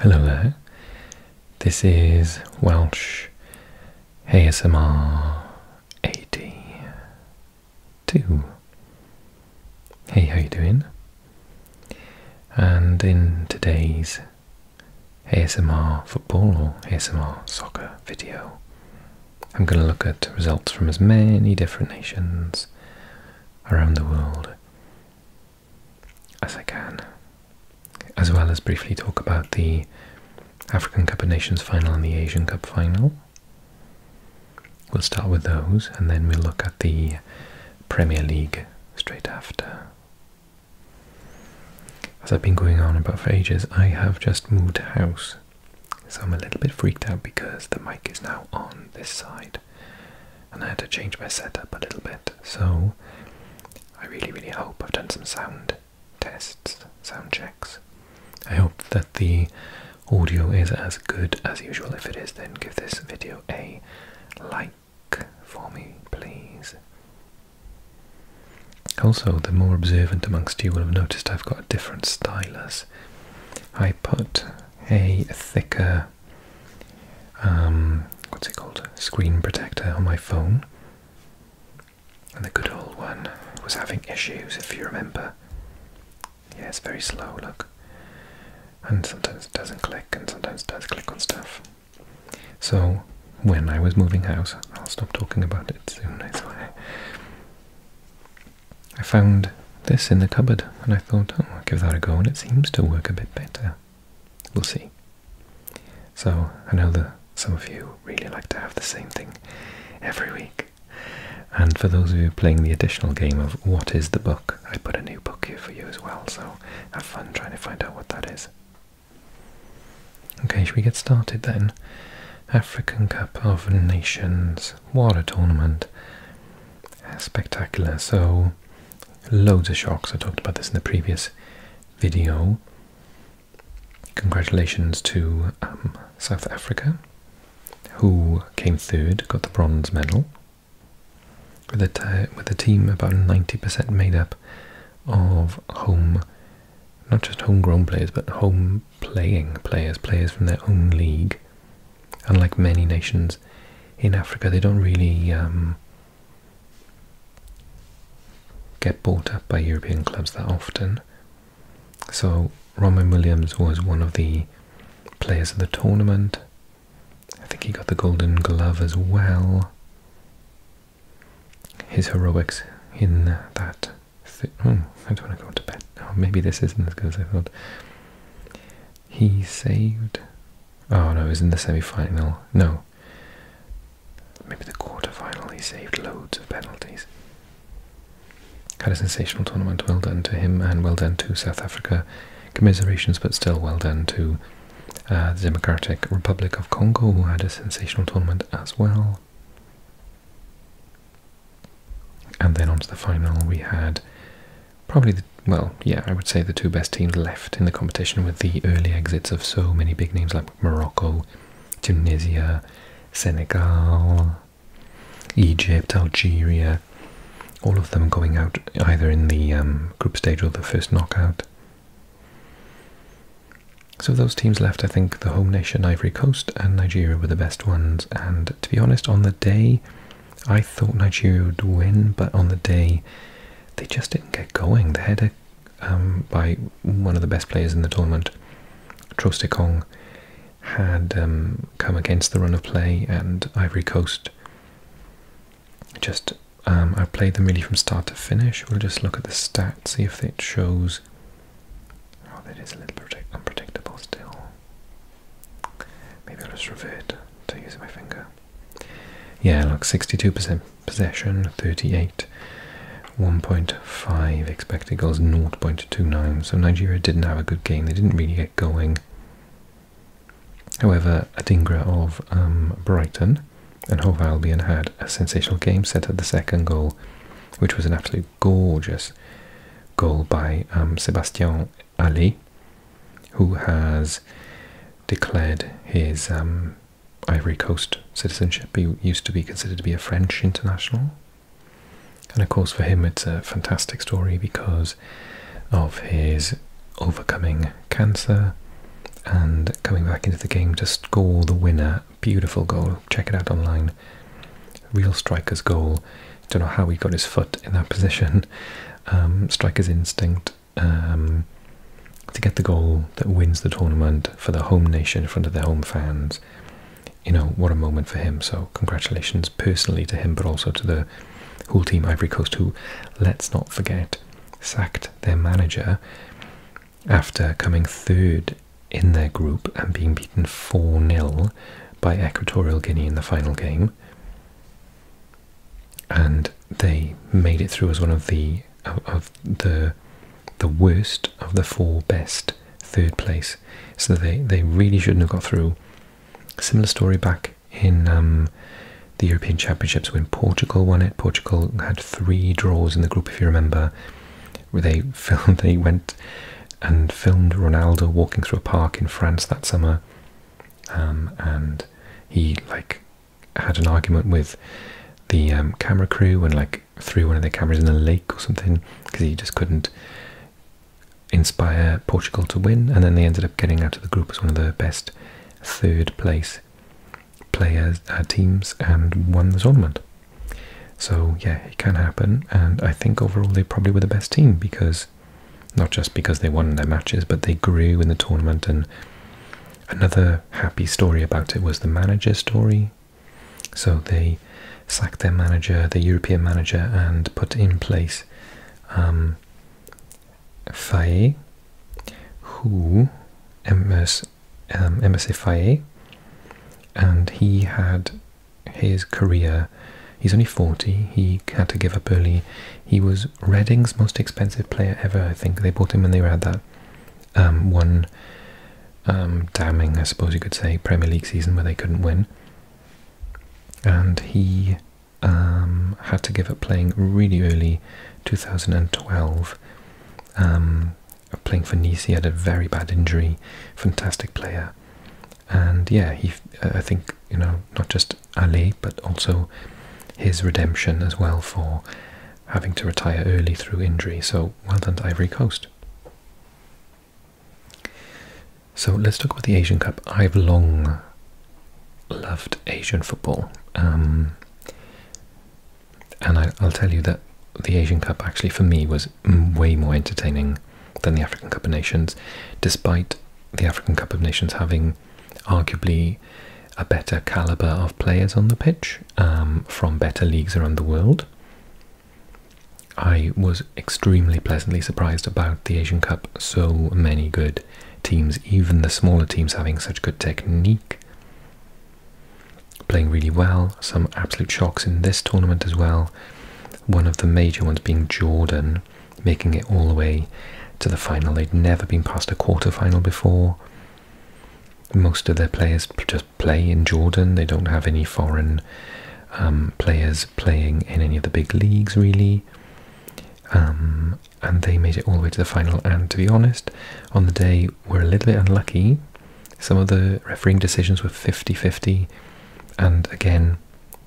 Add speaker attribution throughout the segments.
Speaker 1: Hello there. This is Welsh ASMR 82. Hey, how you doing? And in today's ASMR football or ASMR soccer video, I'm going to look at results from as many different nations around the world as I can, as well as briefly talk about the African Cup of Nations final and the Asian Cup final. We'll start with those and then we'll look at the Premier League straight after. As I've been going on about for ages, I have just moved house, so I'm a little bit freaked out because the mic is now on this side and I had to change my setup a little bit. So I really, really hope I've done some sound tests, sound checks. I hope that the audio is as good as usual. If it is, then give this video a like for me, please. Also, the more observant amongst you will have noticed I've got a different stylus. I put a thicker um, what's it called? Screen protector on my phone. And the good old one was having issues, if you remember. Yeah, it's very slow, look. And sometimes it doesn't click, and sometimes it does click on stuff. So, when I was moving house, I'll stop talking about it soon, I swear. I found this in the cupboard, and I thought, oh, I'll give that a go, and it seems to work a bit better we'll see. So I know that some of you really like to have the same thing every week. And for those of you playing the additional game of what is the book, I put a new book here for you as well, so have fun trying to find out what that is. Okay, should we get started then? African Cup of Nations Water Tournament. Spectacular. So loads of shocks. I talked about this in the previous video. Congratulations to um, South Africa, who came third, got the bronze medal, with a, with a team about 90% made up of home, not just homegrown players, but home playing players, players from their own league. Unlike many nations in Africa, they don't really um, get bought up by European clubs that often. So Roman Williams was one of the players of the tournament. I think he got the Golden Glove as well. His heroics in that. Hmm, I don't want to go to bed. maybe this isn't as good as I thought. He saved Oh no, he's in the semi-final. No. Maybe the quarter-final. He saved loads of penalties. Had a sensational tournament. Well done to him and well done to South Africa. Commiserations, but still well done to uh, the Democratic Republic of Congo, who had a sensational tournament as well. And then on to the final, we had probably well, yeah, I would say the two best teams left in the competition with the early exits of so many big names like Morocco, Tunisia, Senegal, Egypt, Algeria, all of them going out either in the um, group stage or the first knockout. So those teams left, I think the home nation Ivory Coast and Nigeria were the best ones. And to be honest, on the day, I thought Nigeria would win, but on the day they just didn't get going. They had a um, by one of the best players in the tournament, Trostekong, had um, come against the run of play and Ivory Coast just I um, played them really from start to finish. We'll just look at the stats, see if it shows. Oh, that is a little unpredictable still. Maybe I'll just revert to using my finger. Yeah, like 62% possession, 38, 1.5 expected goals, 0.29. So Nigeria didn't have a good game. They didn't really get going. However, Adingra of um, Brighton and Hove Albion had a sensational game set at the second goal, which was an absolute gorgeous goal by um, Sebastian Ali who has declared his um, Ivory Coast citizenship. He used to be considered to be a French international. And of course, for him, it's a fantastic story because of his overcoming cancer and coming back into the game to score the winner. Beautiful goal. Check it out online. Real striker's goal. Don't know how he got his foot in that position. Um, striker's instinct um, to get the goal that wins the tournament for the home nation in front of their home fans. You know what a moment for him. So congratulations personally to him, but also to the whole team Ivory Coast, who let's not forget sacked their manager after coming third in their group and being beaten 4 0 by Equatorial Guinea in the final game and they made it through as one of the of the the worst of the four best third place. So they they really shouldn't have got through. Similar story back in um, the European Championships when Portugal won it. Portugal had three draws in the group, if you remember. Where they filmed, they went and filmed Ronaldo walking through a park in France that summer, um, and he like had an argument with the um, camera crew and like threw one of their cameras in a lake or something because he just couldn't inspire Portugal to win. And then they ended up getting out of the group as one of the best third place players uh, teams and won the tournament. So yeah, it can happen. And I think overall they probably were the best team because not just because they won their matches, but they grew in the tournament and Another happy story about it was the manager story. So they sacked their manager, the European manager, and put in place um, Faye, who MS, um, and he had his career. He's only 40, he had to give up early. He was was Reading's most expensive player ever, I think. They bought him when they were at that um, one um, damning, I suppose you could say, Premier League season where they couldn't win. And he um, had to give up playing really early 2012. playing for Nice, he had a very bad injury, fantastic player. And yeah, he, I think, you know, not just Ali, but also his redemption as well for having to retire early through injury. So well done Ivory Coast. So let's talk about the Asian Cup. I've long loved Asian football. Um, and I'll tell you that the Asian Cup actually for me was way more entertaining than the African Cup of Nations, despite the African Cup of Nations having arguably a better caliber of players on the pitch um, from better leagues around the world. I was extremely pleasantly surprised about the Asian Cup. So many good teams, even the smaller teams having such good technique, playing really well. Some absolute shocks in this tournament as well. One of the major ones being Jordan, making it all the way to the final. They'd never been past a quarter final before. Most of their players just play in Jordan. They don't have any foreign um, players playing in any of the big leagues, really. Um, and they made it all the way to the final. And to be honest, on the day, we're a little bit unlucky. Some of the refereeing decisions were 50 50. And again,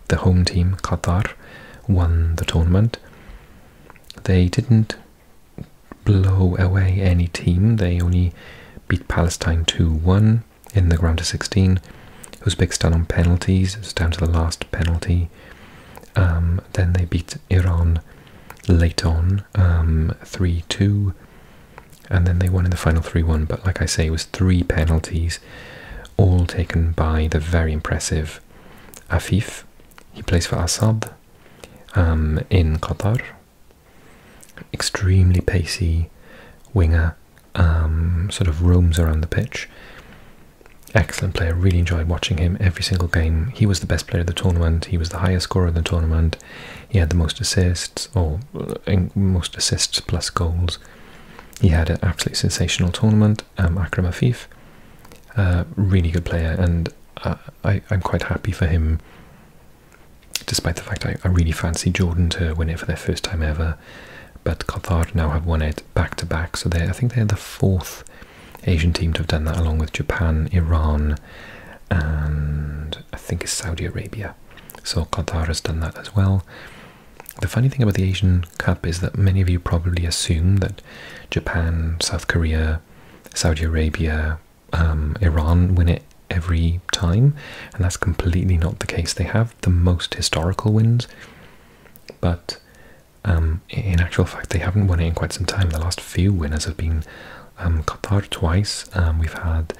Speaker 1: the home team, Qatar, won the tournament. They didn't blow away any team. They only beat Palestine 2-1 in the round of 16. Uzbekistan on penalties, down to the last penalty. Um, then they beat Iran late on, 3-2. Um, and then they won in the final 3-1. But like I say, it was three penalties, all taken by the very impressive Afif. He plays for Assad. Um, in Qatar. Extremely pacey winger, um, sort of roams around the pitch. Excellent player, really enjoyed watching him every single game. He was the best player of the tournament, he was the highest scorer of the tournament, he had the most assists, or uh, most assists plus goals. He had an absolutely sensational tournament, um, Akram Afif. Uh, really good player, and uh, I, am quite happy for him, despite the fact I, really fancy Jordan to win it for their first time ever. But Qatar now have won it back to back, so they I think they're the fourth Asian team to have done that, along with Japan, Iran, and I think Saudi Arabia. So Qatar has done that as well. The funny thing about the Asian Cup is that many of you probably assume that Japan, South Korea, Saudi Arabia, um, Iran win it every time, and that's completely not the case. They have the most historical wins, but um, in actual fact, they haven't won it in quite some time. The last few winners have been um, Qatar twice. we've had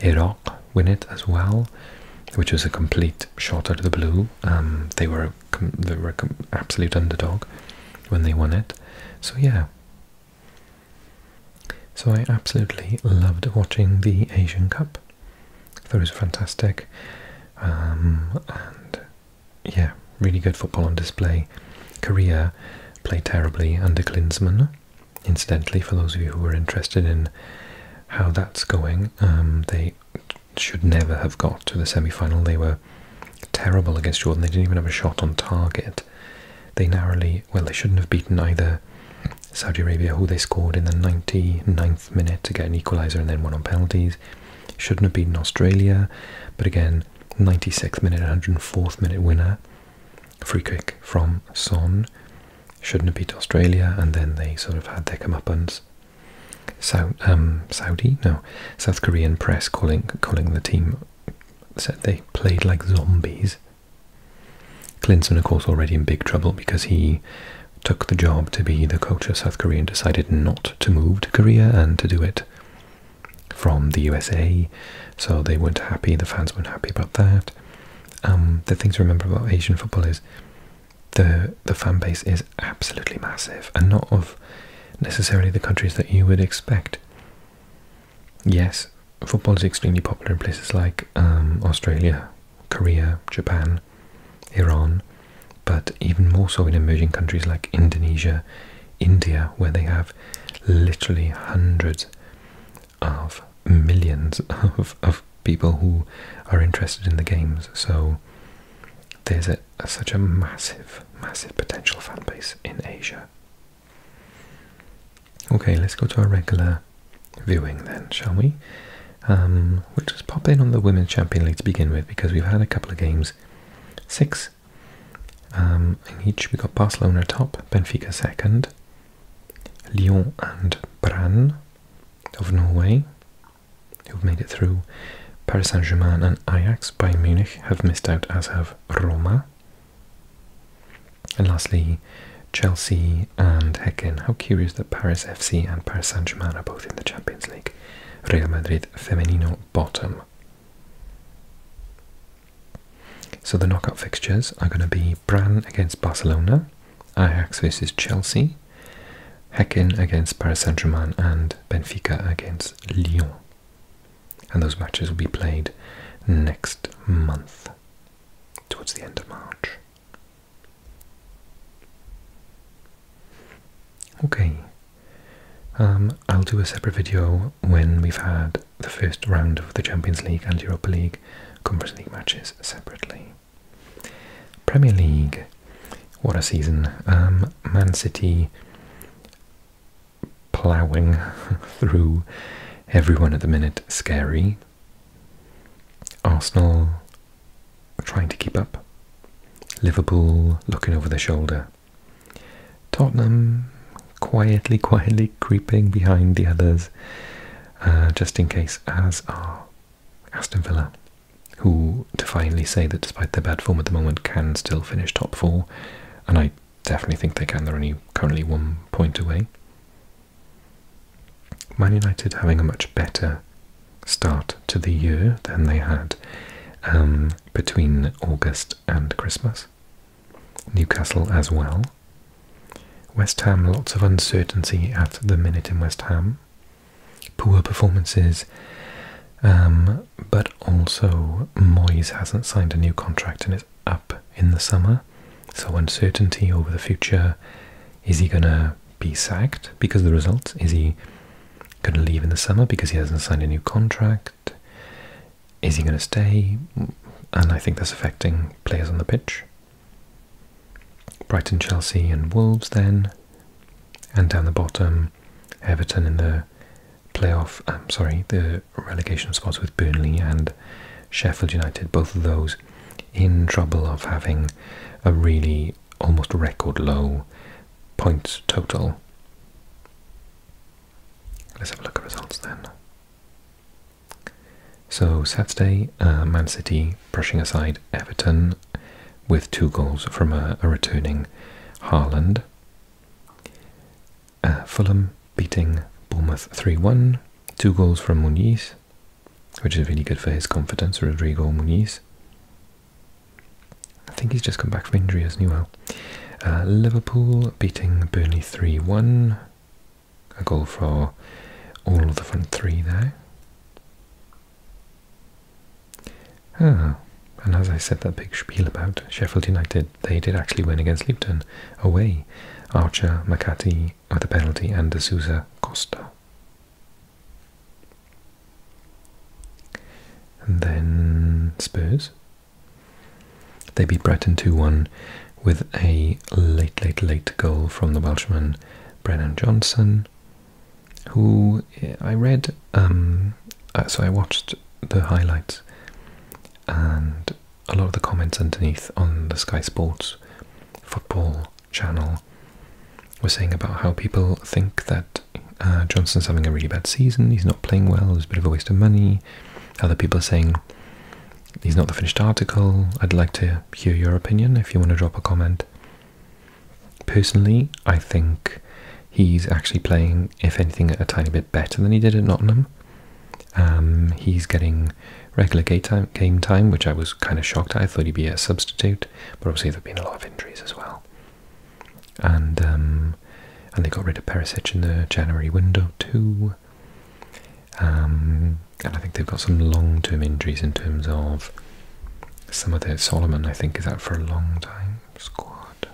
Speaker 1: Iraq win it as well, which was a complete shot out of the blue. they were they were absolute underdog, when they won it. So yeah. So I absolutely loved watching the Asian Cup. I it was fantastic. Um, and yeah, really good football on display. Korea played terribly under Klinsmann. Incidentally, for those of you who are interested in how that's going, um, they should never have got to the semi-final. They were terrible against Jordan. They didn't even have a shot on target. They narrowly, well, they shouldn't have beaten either Saudi Arabia, who they scored in the 99th minute to get an equaliser and then won on penalties. Shouldn't have beaten Australia, but again, 96th minute, 104th minute winner. Free kick from Son. Shouldn't have beat Australia, and then they sort of had their comeuppance. South, um, Saudi, no, South Korean press calling calling the team said they played like zombies. Clinton, of course, already in big trouble because he took the job to be the coach of South Korea and decided not to move to Korea and to do it from the USA. So they weren't happy, the fans weren't happy about that. Um, the thing to remember about Asian football is the the fan base is absolutely massive and not of necessarily the countries that you would expect. Yes, football is extremely popular in places like um, Australia, Korea, Japan, Iran, but even more so in emerging countries like Indonesia, India, where they have literally hundreds of millions of, people who are interested in the games. So there's such a massive, massive potential fan base in Asia. Okay, let's go to our regular viewing then, shall we? Um, we'll just pop in on the Women's Champion League to begin with because we've had a couple of games. Six. Um, in each we got Barcelona top, Benfica second, Lyon and Brann of Norway, who've made it through. Paris Saint-Germain and Ajax by Munich have missed out, as have Roma. And lastly, Chelsea and Hecken. How curious that Paris FC and Paris Saint Germain are both in the Champions League. Real Madrid Femenino bottom. So the knockout fixtures are going to be Bran against Barcelona, Ajax versus Chelsea, Hecken against Paris Saint Germain, and Benfica against Lyon. And those matches will be played next month, towards the end of March. Okay, um, I'll do a separate video when we've had the first round of the Champions League and Europa League Conference League matches separately. Premier League, what a season! Um, Man City plowing through everyone at the minute scary. Arsenal trying to keep up. Liverpool looking over their shoulder. Tottenham quietly, quietly creeping behind the others, uh, just in case, as are Aston Villa, who to finally say that despite their bad form at the moment can still finish top four. And I definitely think they can. They're only currently one point away. Man United having a much better start to the year than they had um, between August and Christmas. Newcastle as well. West Ham, lots of uncertainty at the minute in West Ham. Poor performances um, but also Moyes hasn't signed a new contract and is up in the summer. So uncertainty over the future. Is he going to be sacked because the results? Is he going to leave in the summer because he hasn't signed a new contract? Is he going to stay? And I think that's affecting players on the pitch. Brighton, Chelsea, and Wolves then. And down the bottom, Everton in the playoff, I'm um, sorry, the relegation spots with Burnley and Sheffield United, both of those in trouble of having a really almost record low points total. Let's have a look at results then. So Saturday, uh, Man City brushing aside Everton with two goals from a, a returning Haaland. Uh, Fulham beating Bournemouth 3 1. Two goals from Muniz, which is really good for his confidence, Rodrigo Muniz. I think he's just come back from injury, as Well, uh, Liverpool beating Burnley 3 1. A goal for all of the front three there. Ah, and as I said that big spiel about Sheffield United, they did actually win against Luton away. Archer, Makati with a penalty and Sousa Costa. then Spurs. They beat Brighton 2-1 with a late, late, late goal from the Welshman Brennan Johnson, who eh, I read, um, uh, so I watched the highlights and a lot of the comments underneath on the Sky Sports football channel were saying about how people think that uh, Johnson's having a really bad season, he's not playing well, it's a bit of a waste of money. Other people are saying he's not the finished article. I'd like to hear your opinion if you want to drop a comment. Personally, I think he's actually playing, if anything, a tiny bit better than he did at Nottingham. Um, he's getting regular game time, which I was kind of shocked at. I thought he'd be a substitute, but obviously there've been a lot of injuries as well. And um, and they got rid of Perisic in the January window too. Um, and I think they've got some long-term injuries in terms of some of the Solomon. I think is out for a long time. Squad.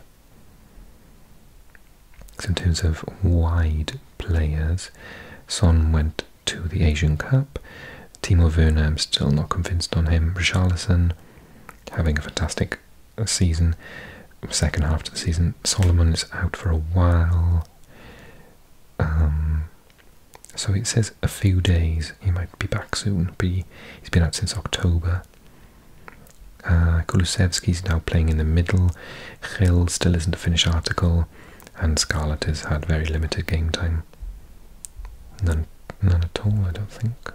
Speaker 1: So in terms of wide players, Son went to the Asian Cup. Timo Werner, still not convinced on him. Richarlison, having a fantastic season, second half of the season. Solomon is out for a while. Um, so it says a few days. He might be back soon, but he, has been out since October. Uh, Kulusevski is now playing in the middle. Hill still isn't a finished article, and Scarlett has had very limited game time. None, none at all, I don't think.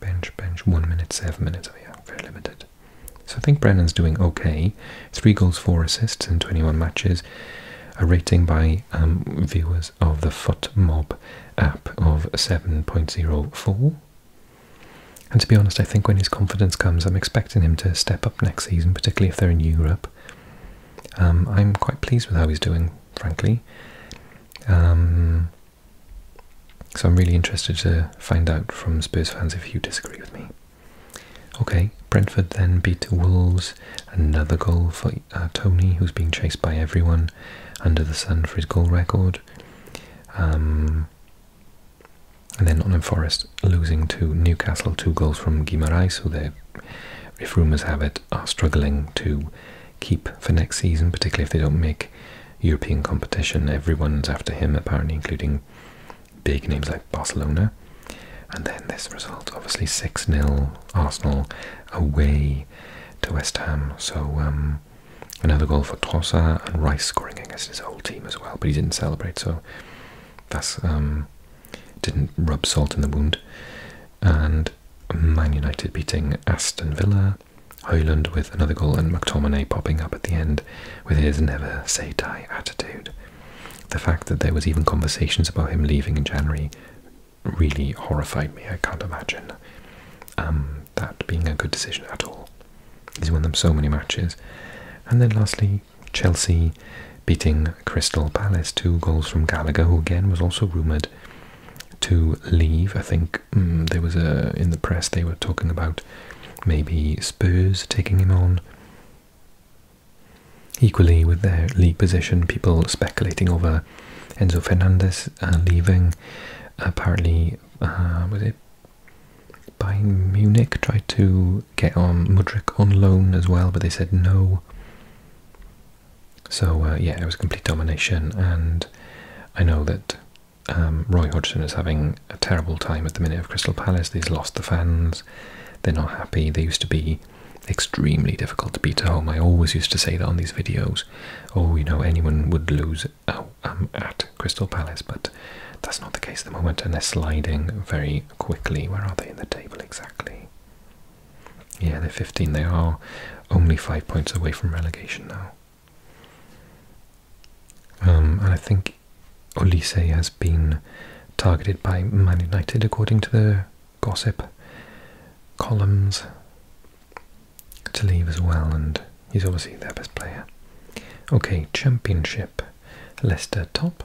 Speaker 1: Bench, bench, one minute, seven minutes. Oh yeah, very limited. So I think Brennan's doing okay. Three goals, four assists in 21 matches. A rating by um, viewers of the Foot Mob app of 7.04. And to be honest, I think when his confidence comes, I'm expecting him to step up next season, particularly if they're in Europe. Um, I'm quite pleased with how he's doing, frankly. Um, so I'm really interested to find out from Spurs fans if you disagree with me. Okay, Brentford then beat Wolves. Another goal for uh, Tony, who's being chased by everyone under the sun for his goal record. Um, and then Nottingham Forest losing to Newcastle, two goals from Guimaraes, who they, if rumours have it, are struggling to keep for next season, particularly if they don't make European competition. Everyone's after him, apparently, including big names like Barcelona. And then this result, obviously 6 0 Arsenal away to West Ham. So, um, another goal for Trossard and Rice scoring against his old team as well, but he didn't celebrate, so that's um, didn't rub salt in the wound. And Man United beating Aston Villa, Hoyland with another goal, and McTominay popping up at the end with his never say die attitude. The fact that there was even conversations about him leaving in January really horrified me. I can't imagine um, that being a good decision at all. He's won them so many matches. And then lastly, Chelsea beating Crystal Palace, two goals from Gallagher, who again was also rumoured to leave. I think mm, there was a in the press they were talking about maybe Spurs taking him on. Equally, with their league position, people speculating over Enzo Fernandez uh, leaving. Apparently, uh, was it by Munich tried to get on Mudrik on loan as well, but they said no. So uh, yeah, it was complete domination, and I know that um, Roy Hodgson is having a terrible time at the minute of Crystal Palace. They've lost the fans. They're not happy. They used to be extremely difficult to beat at home. I always used to say that on these videos. Oh, you know, anyone would lose oh, um, at Crystal Palace, but that's not the case at the moment, and they're sliding very quickly. Where are they in the table exactly? Yeah, they're 15. They are only five points away from relegation now. Um, and I think Olise has been targeted by Man United, according to the gossip columns, to leave as well, and He's obviously their best player. Okay, Championship. Leicester top.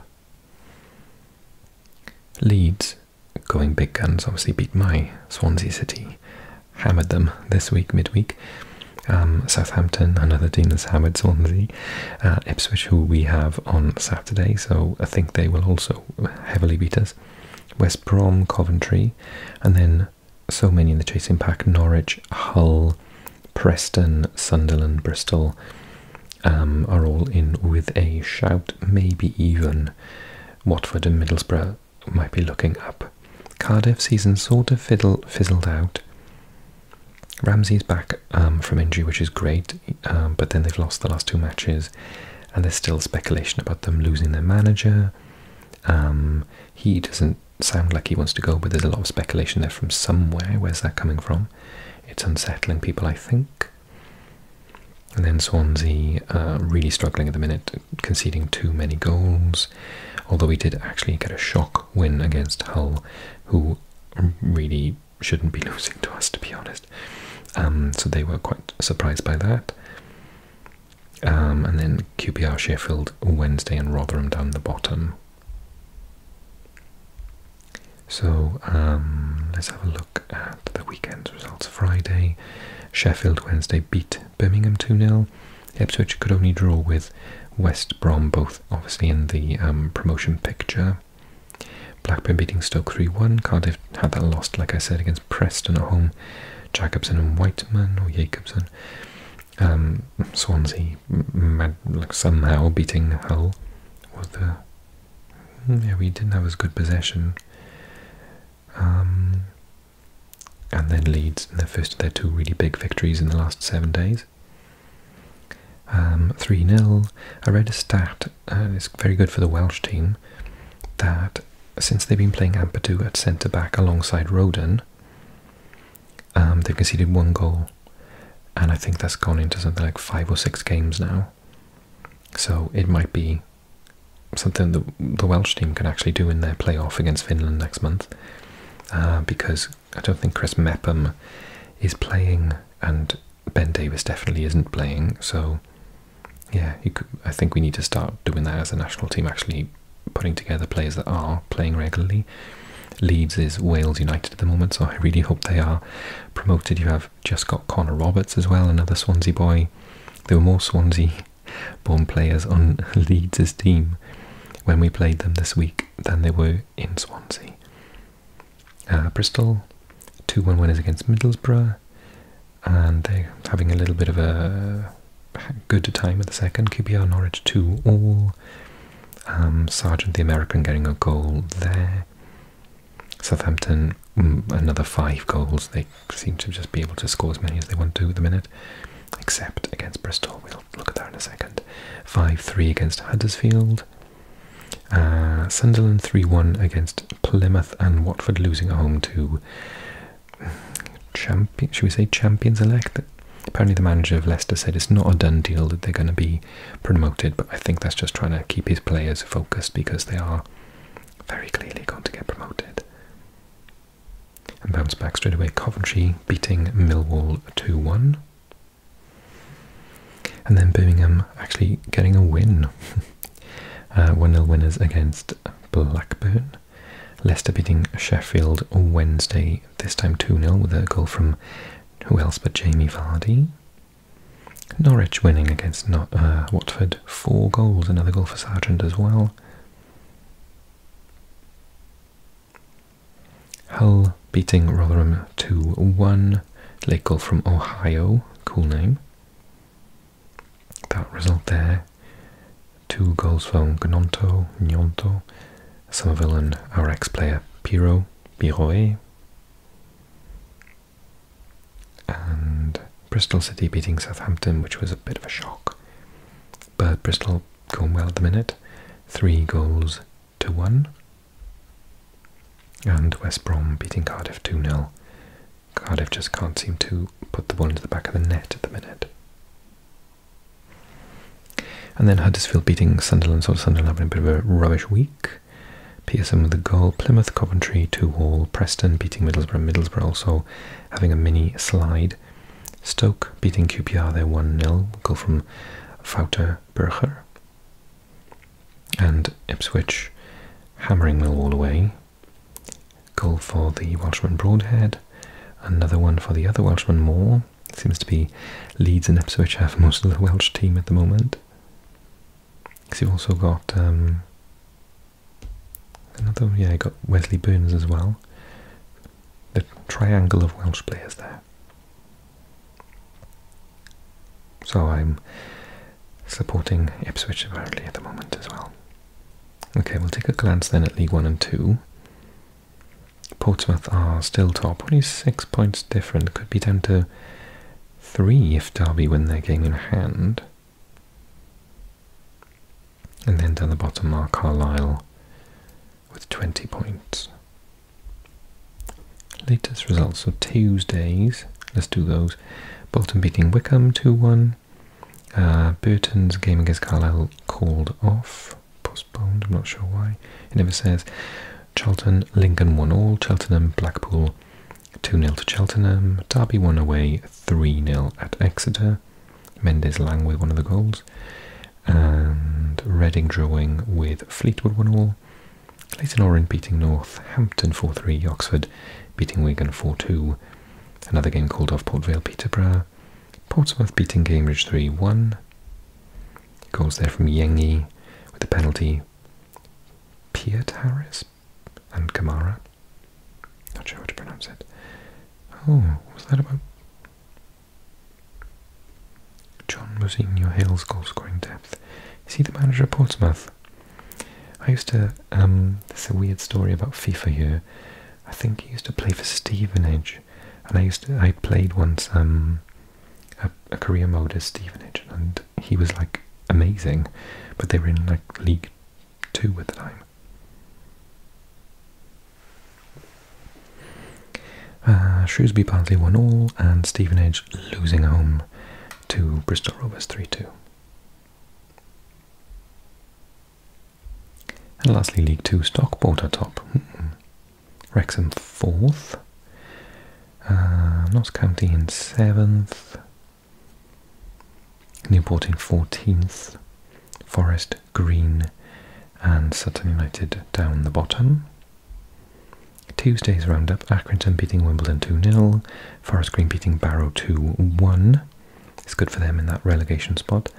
Speaker 1: Leeds going big guns, obviously beat my Swansea City. Hammered them this week, midweek. Um, Southampton, another team that's hammered Swansea. Uh, Ipswich, who we have on Saturday, so I think they will also heavily beat us. West Brom, Coventry, and then so many in the chasing pack Norwich, Hull, Preston, Sunderland, Bristol um, are all in with a shout. Maybe even Watford and Middlesbrough might be looking up. Cardiff season sort of fiddle, fizzled out. Ramsey's back um, from injury, which is great, um, but then they've lost the last two matches, and there's still speculation about them losing their manager. he doesn't sound like he wants to go, but there's a lot of speculation there from somewhere. Where's that coming from? It's unsettling people, I think. And then Swansea uh, really struggling at the minute, conceding too many goals. Although we did actually get a shock win against Hull, who really shouldn't be losing to us, to be honest. Um, so they were quite surprised by that. Um, and then QPR, Sheffield, Wednesday, and Rotherham down the bottom so um, let's have a look at the weekend's results. Friday, Sheffield Wednesday beat Birmingham 2 0. Ipswich could only draw with West Brom, both obviously in the um, promotion picture. Blackburn beating Stoke 3 1. Cardiff had that lost, like I said, against Preston at home. Jacobson and Whiteman, or Jacobson, um, Swansea mad, like somehow beating Hull yeah we didn't have as good possession. Um, and then Leeds in their first of their two really big victories in the last seven days. Um, 3 0. I read a stat, and uh, it's very good for the Welsh team, that since they've been playing Ampadu at centre back alongside Roden, um, they conceded one goal, and I think that's gone into something like five or six games now. So it might be something that the Welsh team can actually do in their playoff against Finland next month, uh, because I don't think Chris Mepham is playing, and Ben Davis definitely isn't playing. So yeah, I think we need to start doing that as a national team, actually putting together players that are playing regularly Leeds is Wales United at the moment, so I really hope they are promoted. You have just got Connor Roberts as well, another Swansea boy. There were more Swansea born players on Leeds' team when we played them this week than there were in Swansea. Uh, Bristol, 2 1 winners against Middlesbrough, and they're having a little bit of a good time at the second. QPR Norwich 2 all. Um, Sergeant the American, getting a goal there. Southampton, mm, another five goals. They seem to just be able to score as many as they want to at the minute, except against Bristol. We'll look at that in a second. 5 3 against Huddersfield. Uh, Sunderland 3 1 against Plymouth and Watford losing at home to. Champion, should we say champions elected? Apparently, the manager of Leicester said it's not a done deal that they're going to be promoted, but I think that's just trying to keep his players focused because they are very clearly going to get promoted. And bounce back straight away. Coventry beating Millwall 2 1. And then Birmingham actually getting a win. Uh, 1 0 winners against Blackburn. Leicester beating Sheffield Wednesday, this time 2 0 with a goal from who else but Jamie Vardy? Norwich winning against uh, Watford, four goals, another goal for Sargent as well. Hull beating Rotherham 2-1, late goal from Ohio, cool name. That result there, two goals from Gnonto, Gnonto, some villain RX player Piro, Piroe, and Bristol City beating Southampton, which was a bit of a shock. But Bristol going well at the minute, three goals to one. And West Brom beating Cardiff 2 0. Cardiff just can't seem to put the ball into the back of the net at the minute. And then Huddersfield beating Sunderland, so Sunderland having a bit of a rubbish week. PSM with a goal, Plymouth, Coventry, 2 all, Preston beating Middlesbrough, Middlesbrough also having a mini slide. Stoke beating QPR there 1 0, goal from Fouter Burger. And Ipswich hammering Millwall away. Goal for the Welshman Broadhead, another one for the other Welshman Moore. Seems to be Leeds and Ipswich have most of the Welsh team at the moment. Because you've also got um, another, yeah, you got Wesley Burns as well. The triangle of Welsh players there. So I'm supporting Ipswich apparently at the moment as well. Okay, we'll take a glance then at League One and Two. Portsmouth are still top. Only six points different. Could be down to three if Derby win their game in hand. And then down the bottom are Carlisle with 20 points. Latest results, so Tuesdays, let's do those. Bolton beating Wickham 2 1. Uh, Burton's game against Carlisle called off postponed. I'm not sure why. It never says. Charlton, Lincoln one all. Cheltenham, Blackpool 2 0 to Cheltenham. Derby won away 3 0 at Exeter. Mendes Lang with one of the goals. And Reading drawing with Fleetwood one all. Leighton Orient beating Northampton 4 3. Oxford beating Wigan 4 2. Another game called off Port Vale Peterborough. Portsmouth beating Cambridge 3 1. Goals there from Yengi with the penalty. Pierre Harris and Kamara. Not sure how to pronounce it. Oh, what was that about? John Your Hill's goal scoring depth. Is he the manager of Portsmouth? I used to, um, there's a weird story about FIFA here. I think he used to play for Stevenage. And I used to, I played once, um, a, career mode as Stevenage, and he was like amazing, but they were in like League Two at the time. Uh, Shrewsbury Barnsley won all, and Stevenage losing home to Bristol Rovers 3 2. And lastly, League Two Stockport are top. Hmm. Wrexham fourth, uh, Notts in seventh, Newport in fourteenth, Forest Green and Sutton United down the bottom. Tuesday's round up: Accrington beating Wimbledon 2-0, Forest Green beating Barrow 2-1. It's good for them in that relegation spot.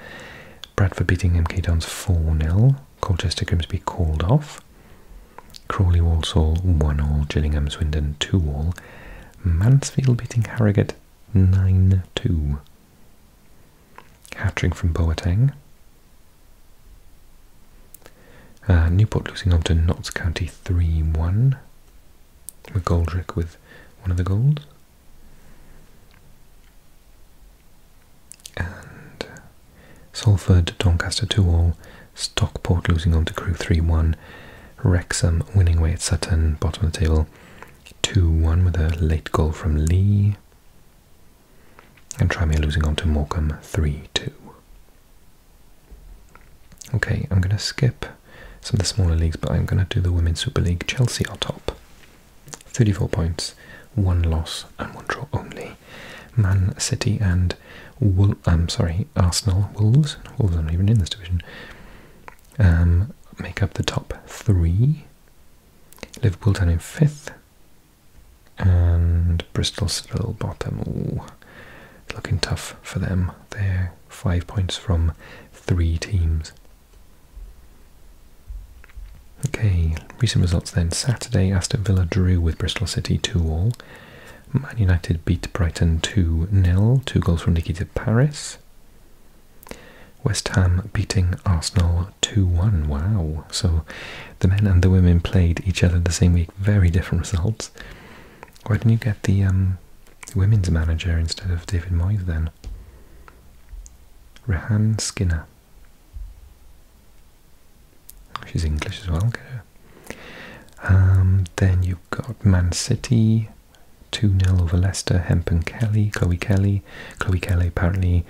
Speaker 1: Bradford beating MK Dons 4-0. Colchester Grimsby called off. Crawley Walsall 1 all, Gillingham Swindon 2 all, Mansfield beating Harrogate 9 2. hat from Boateng. Uh, Newport losing on to Notts County 3 1. McGoldrick with one of the goals and Salford, Doncaster 2-all, Stockport losing on to Crew 3-1, Wrexham winning away at Sutton, bottom of the table 2-1 with a late goal from Lee, and Tranmere losing on to Morecambe 3-2. Okay, I'm going to skip some of the smaller leagues, but I'm going to do the Women's Super League. Chelsea are top, 34 points, one loss and one draw only. Man City and Wol um, sorry, Arsenal, Wolves, Wolves aren't even in this division, um, make up the top three. Liverpool down in fifth, and Bristol still bottom. Ooh, looking tough for them. They're five points from three teams. Okay, recent results then Saturday, Aston Villa drew with Bristol City 2 all. Man United beat Brighton 2 0, two goals from Nikita Paris. West Ham beating Arsenal 2 1. Wow. So the men and the women played each other the same week. Very different results. Why didn't you get the um, women's manager instead of David Moyes then? Rehan Skinner. She's English as well, um, then you've got Man City, 2 0 over Leicester, Hemp and Kelly, Chloe Kelly. Chloe Kelly apparently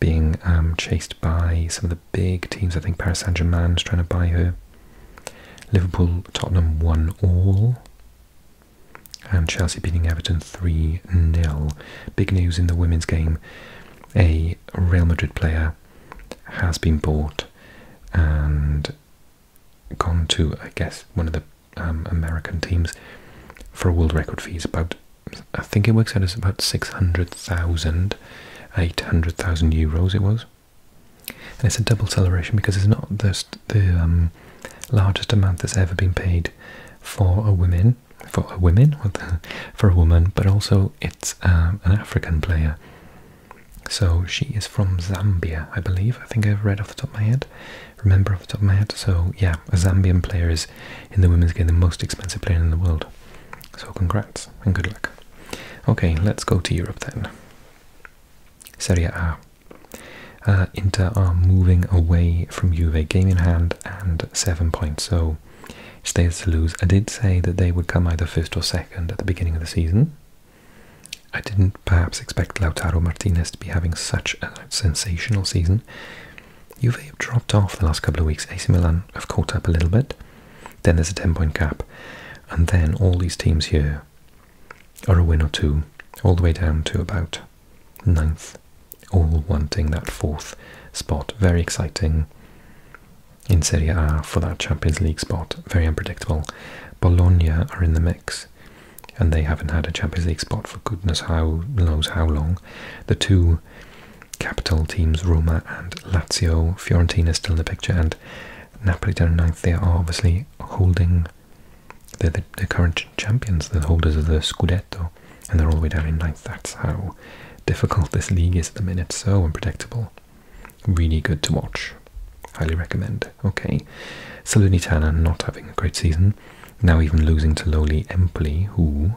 Speaker 1: being um, chased by some of the big teams. I think Paris Saint Germain's trying to buy her. Liverpool, Tottenham one all. And Chelsea beating Everton 3 0. Big news in the women's game a Real Madrid player has been bought and gone to, I guess, one of the um, American teams for a world record fees. About, I think it works out as about 600,000, euros it was. And it's a double celebration because it's not the, the um, largest amount that's ever been paid for a woman, for a woman, for a woman, but also it's um, an African player. So she is from Zambia, I believe. I think I've read off the top of my head. Remember off the top of my head. So yeah, a Zambian player is in the women's game the most expensive player in the world. So congrats and good luck. Okay, let's go to Europe then. Serie A. Uh, Inter are moving away from Juve, game in hand and seven points. So so stays to lose. I did say that they would come either first or second at the beginning of the season. I didn't perhaps expect Lautaro Martinez to be having such a sensational season. Juve have dropped off the last couple of weeks. AC Milan have caught up a little bit. Then there's a 10 point gap. And then all these teams here are a win or two, all the way down to about ninth, all wanting that fourth spot. Very exciting in Serie A for that Champions League spot. Very unpredictable. Bologna are in the mix, and they haven't had a Champions League spot for goodness knows how long. The two capital teams, Roma and Lazio, Fiorentina still in the picture, and Napoli down ninth. They are obviously holding. They're the current champions, the holders of the Scudetto, and they're all the way down in ninth. That's how difficult this league is at the minute. So unpredictable. Really good to watch. Highly recommend. Okay. Salernitana not having a great season. Now even losing to lowly Empoli, who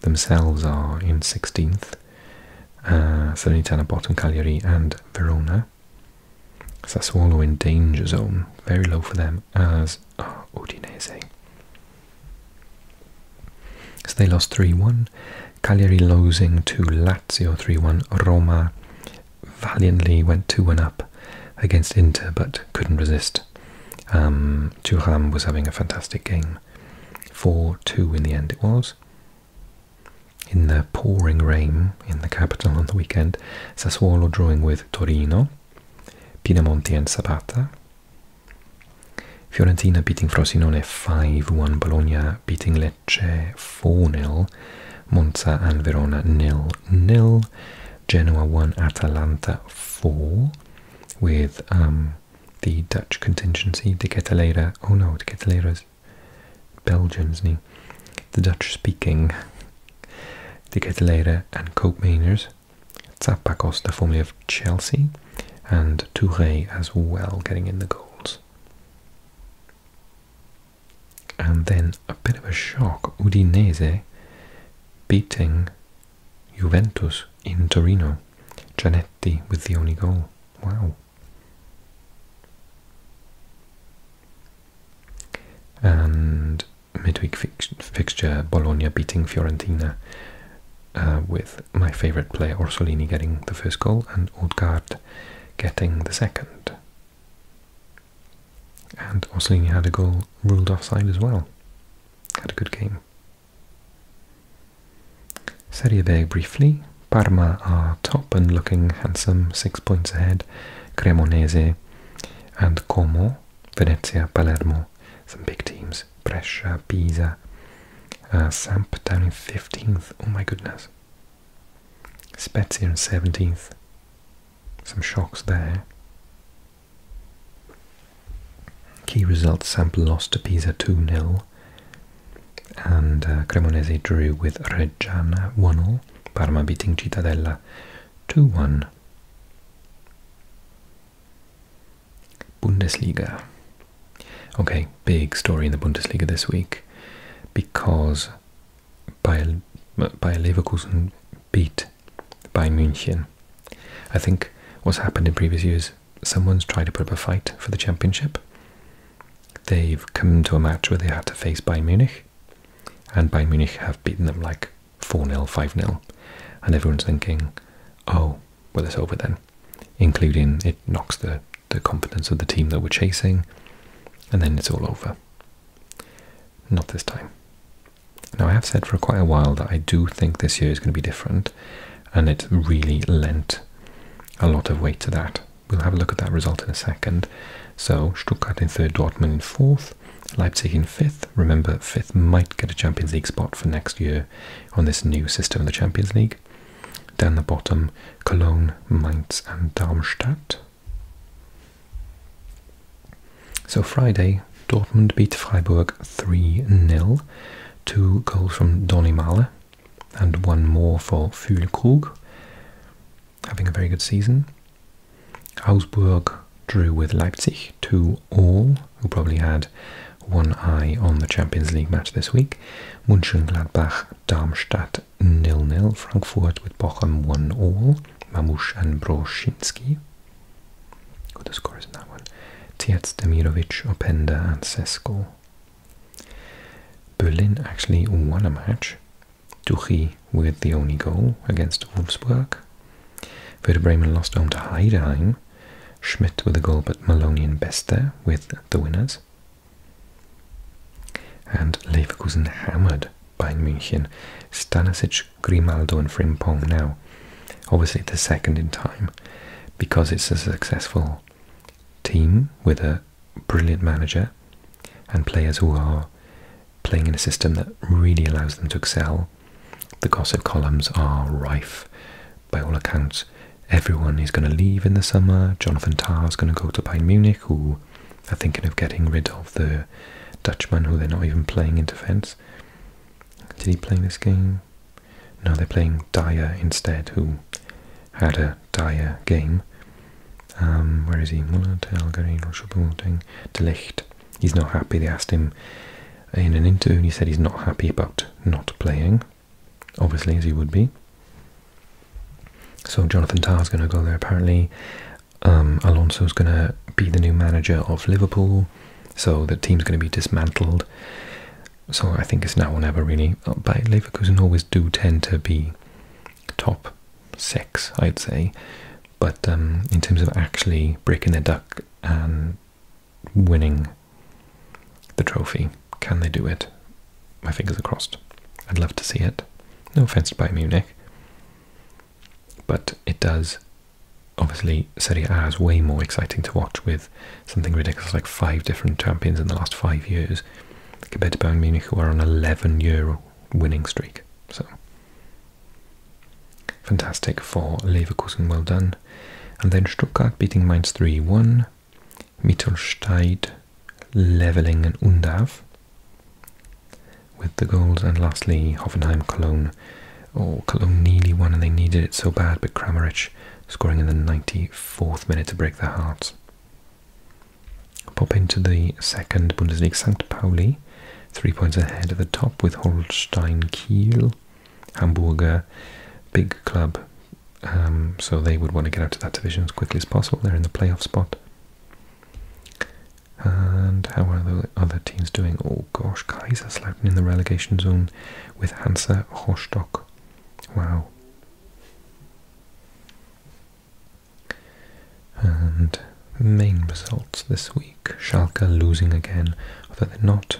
Speaker 1: themselves are in 16th. Uh, Salernitana bottom, Cagliari and Verona. Sassuolo in danger zone. Very low for them as oh, Udinese. So they lost 3-1. Cagliari losing to Lazio 3 1. Roma valiantly went 2 1 up against Inter but couldn't resist. Um, was having a fantastic game. 4 2 in the end it was. In the pouring rain in the capital on the weekend, Sassuolo drawing with Torino, Pinamonti and Sabata. Fiorentina beating Frosinone 5-1, Bologna beating Lecce 4-0, Monza and Verona 0-0, Genoa 1, Atalanta 4, with um, the Dutch contingency, De Ketelera, oh no, De Ketelera's Belgian's is The Dutch-speaking De Ketelera and Koopmaners, Zappa Costa, formerly of Chelsea, and Touré as well getting in the goals. And then a bit of a shock Udinese beating Juventus in Torino. Janetti with the only goal. Wow. And midweek fixture Bologna beating Fiorentina uh, with my favourite player Orsolini getting the first goal and Odgaard getting the second. And Orsolini had a goal ruled offside as well. Had a good game. Serie B briefly. Parma are top and looking handsome, six points ahead. Cremonese and Como, Venezia, Palermo, some big teams. Brescia, Pisa, uh, Samp down in 15th. Oh my goodness. Spezia in 17th. Some shocks there. Key results Samp lost to Pisa 2 0. And uh, Cremonese drew with Reggiana 1 0. Parma beating Cittadella 2 1. Bundesliga. Okay, big story in the Bundesliga this week because Bayer, Leverkusen beat Bayern Munich. I think what's happened in previous years, someone's tried to put up a fight for the championship. They've come to a match where they had to face Bayern Munich, and Bayern Munich have beaten them like 4 0, 5 0. And everyone's thinking, oh, well, it's over then including it knocks the, the confidence of the team that we're chasing, and then it's all over. Not this time. Now, I have said for quite a while that I do think this year is going to be different, and it really lent a lot of weight to that. We'll have a look at that result in a second. So, Stuttgart in third, Dortmund in fourth, Leipzig in fifth. Remember, fifth might get a Champions League spot for next year on this new system of the Champions League. Then the bottom, Cologne, Mainz, and Darmstadt. So Friday, Dortmund beat Freiburg 3 0. Two goals from Donny Mahler and one more for Füllkrug, having a very good season. Augsburg drew with Leipzig 2 all, who probably had one eye on the Champions League match this week. Mönchengladbach Darmstadt nil nil, Frankfurt with Bochum one all, Mamush and Broshinski. Who the score is now? that one? Tietz, Demirovich, Openda, and Sesko. Berlin actually won a match. Tuchy with the only goal against Wolfsburg. Werder lost home to Heidenheim. Schmidt with a goal, but Maloney and Beste with the winners. And Leverkusen hammered Bayern München. Stanisic, Grimaldo, and Frimpong now. Obviously, the second in time because it's a successful team with a brilliant manager and players who are playing in a system that really allows them to excel. The gossip columns are rife, by all accounts. Everyone is going to leave in the summer. Jonathan Tarr is going to go to Bayern Munich, who are thinking of getting rid of the Dutchman, who they're not even playing in defence. Did he play this game? No, they're playing Dyer instead, who had a Dyer game. Um, where is he? Muller, Telgarin, Rochebuilding, De Ligt. He's not happy. They asked him in an interview, he said he's not happy about not playing obviously, he would be. So Jonathan is going to go there apparently. Um, Alonso is going to be the new manager of Liverpool, so the team's going to be dismantled. So I think it's now or never really. Uh, but Leverkusen always do tend to be top six, I'd say. But um, in terms of actually breaking the duck and winning the trophy, can they do it? My fingers are crossed. I'd love to see it. No offense to Bayern Munich. But it does. Obviously, Serie A is way more exciting to watch with something ridiculous like five different champions in the last five years compared to Bayern Munich, who are on an 11 year winning streak. So, fantastic for Leverkusen, well done. And then Stuttgart beating Mainz 3 1. Mittelstadt, Leveling and Undav with the goals. And lastly, Hoffenheim, Cologne. Oh, Cologne nearly won and they needed it so bad, but Kramaric scoring in the 94th minute to break their hearts. Pop into the second Bundesliga, St. Pauli, three points ahead at the top with Holstein Kiel, Hamburger, big club um, so they would want to get out of that division as quickly as possible. They're in the playoff spot. And how are the other teams doing? Oh gosh, Kaiserslautern in the relegation zone with Hansa Rostock. Wow. And main results this week. Schalke losing again, although they're not.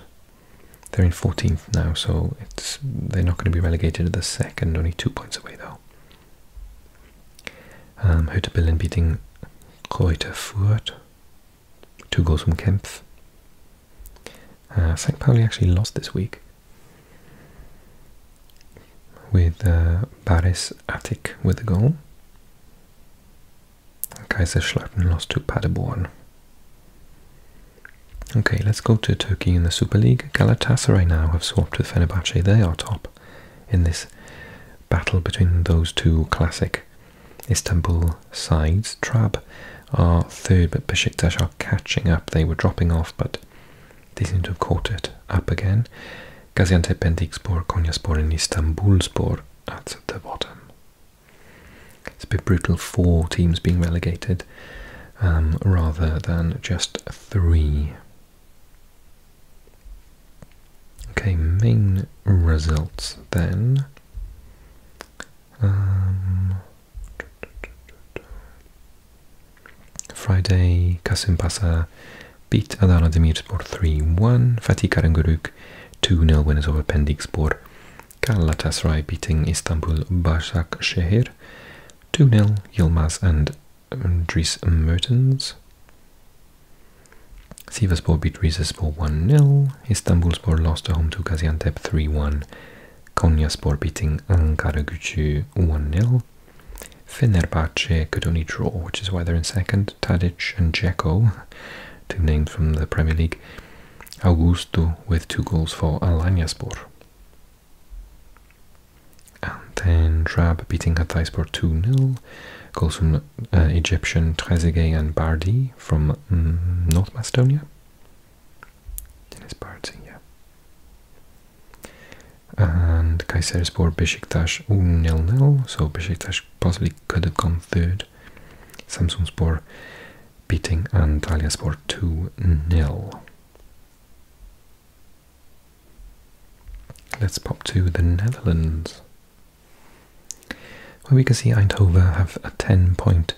Speaker 1: They're in 14th now, so it's they're not going to be relegated at the second, only two points away though. Ähm, heute Bellen beating Kräuter Fürth. Two goals from Kempf. Uh, St. Pauli actually lost this week with uh, Baris Attic with the goal. Kaiserslautern lost to Paderborn. Okay, let's go to Turkey in the Super League. Galatasaray now have swapped with Fenerbahce. They are top in this battle between those two classic Istanbul sides. Trab are third, but Besiktas are catching up. They were dropping off, but they seem to have caught it up again. Gaziantep and Dikspor, Konyaspor and Istanbulspor at the bottom. It's a bit brutal, four teams being relegated um, rather than just three. Okay, main results then. Um, Friday, Kasim Pasa beat Adana Demirspor 3-1. Fatih Karagümrük 2-0 wins over Pendikspor. Galatasaray beating Istanbul Başakşehir 2-0. Yilmaz and Dries Mertens. Sivasspor beat Rizespor 1-0. Istanbulspor lost at home to Gaziantep 3-1. Konyaspor beating Ankara Gücü 1-0. Fenerbahce could only draw, which is why they're in second. Tadic and Dzeko, two names from the Premier League. Augusto with two goals for Alanyaspor. And then Drab beating Hatayspor 2 0. Goals from uh, Egyptian Trezeguet and Bardi from mm, North Macedonia. Dennis Bardi, yeah. And Kayserispor Besiktas 0 0. So Besiktas possibly could have come third. Samsunspor beating Antalyaspor 2 0. Let's pop to the Netherlands, where we can see Eindhoven have a 10 point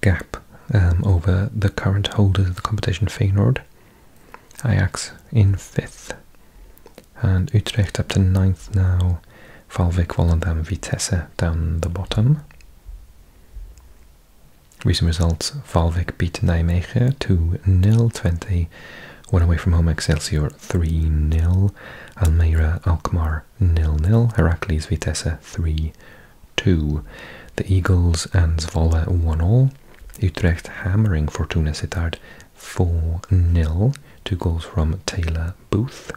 Speaker 1: gap um, over the current holders of the competition, Feyenoord. Ajax in 5th, and Utrecht up to ninth now. Valvik, Volendam, Vitesse down the bottom. Recent results, Valvik beat Nijmegen 2-0, 20 away from home, Excelsior 3-0, Almeida Alkmaar 0-0, Heracles Vitesse 3-2, the Eagles and Zvola 1-0, Utrecht hammering Fortuna Sittard 4-0, two goals from Taylor Booth.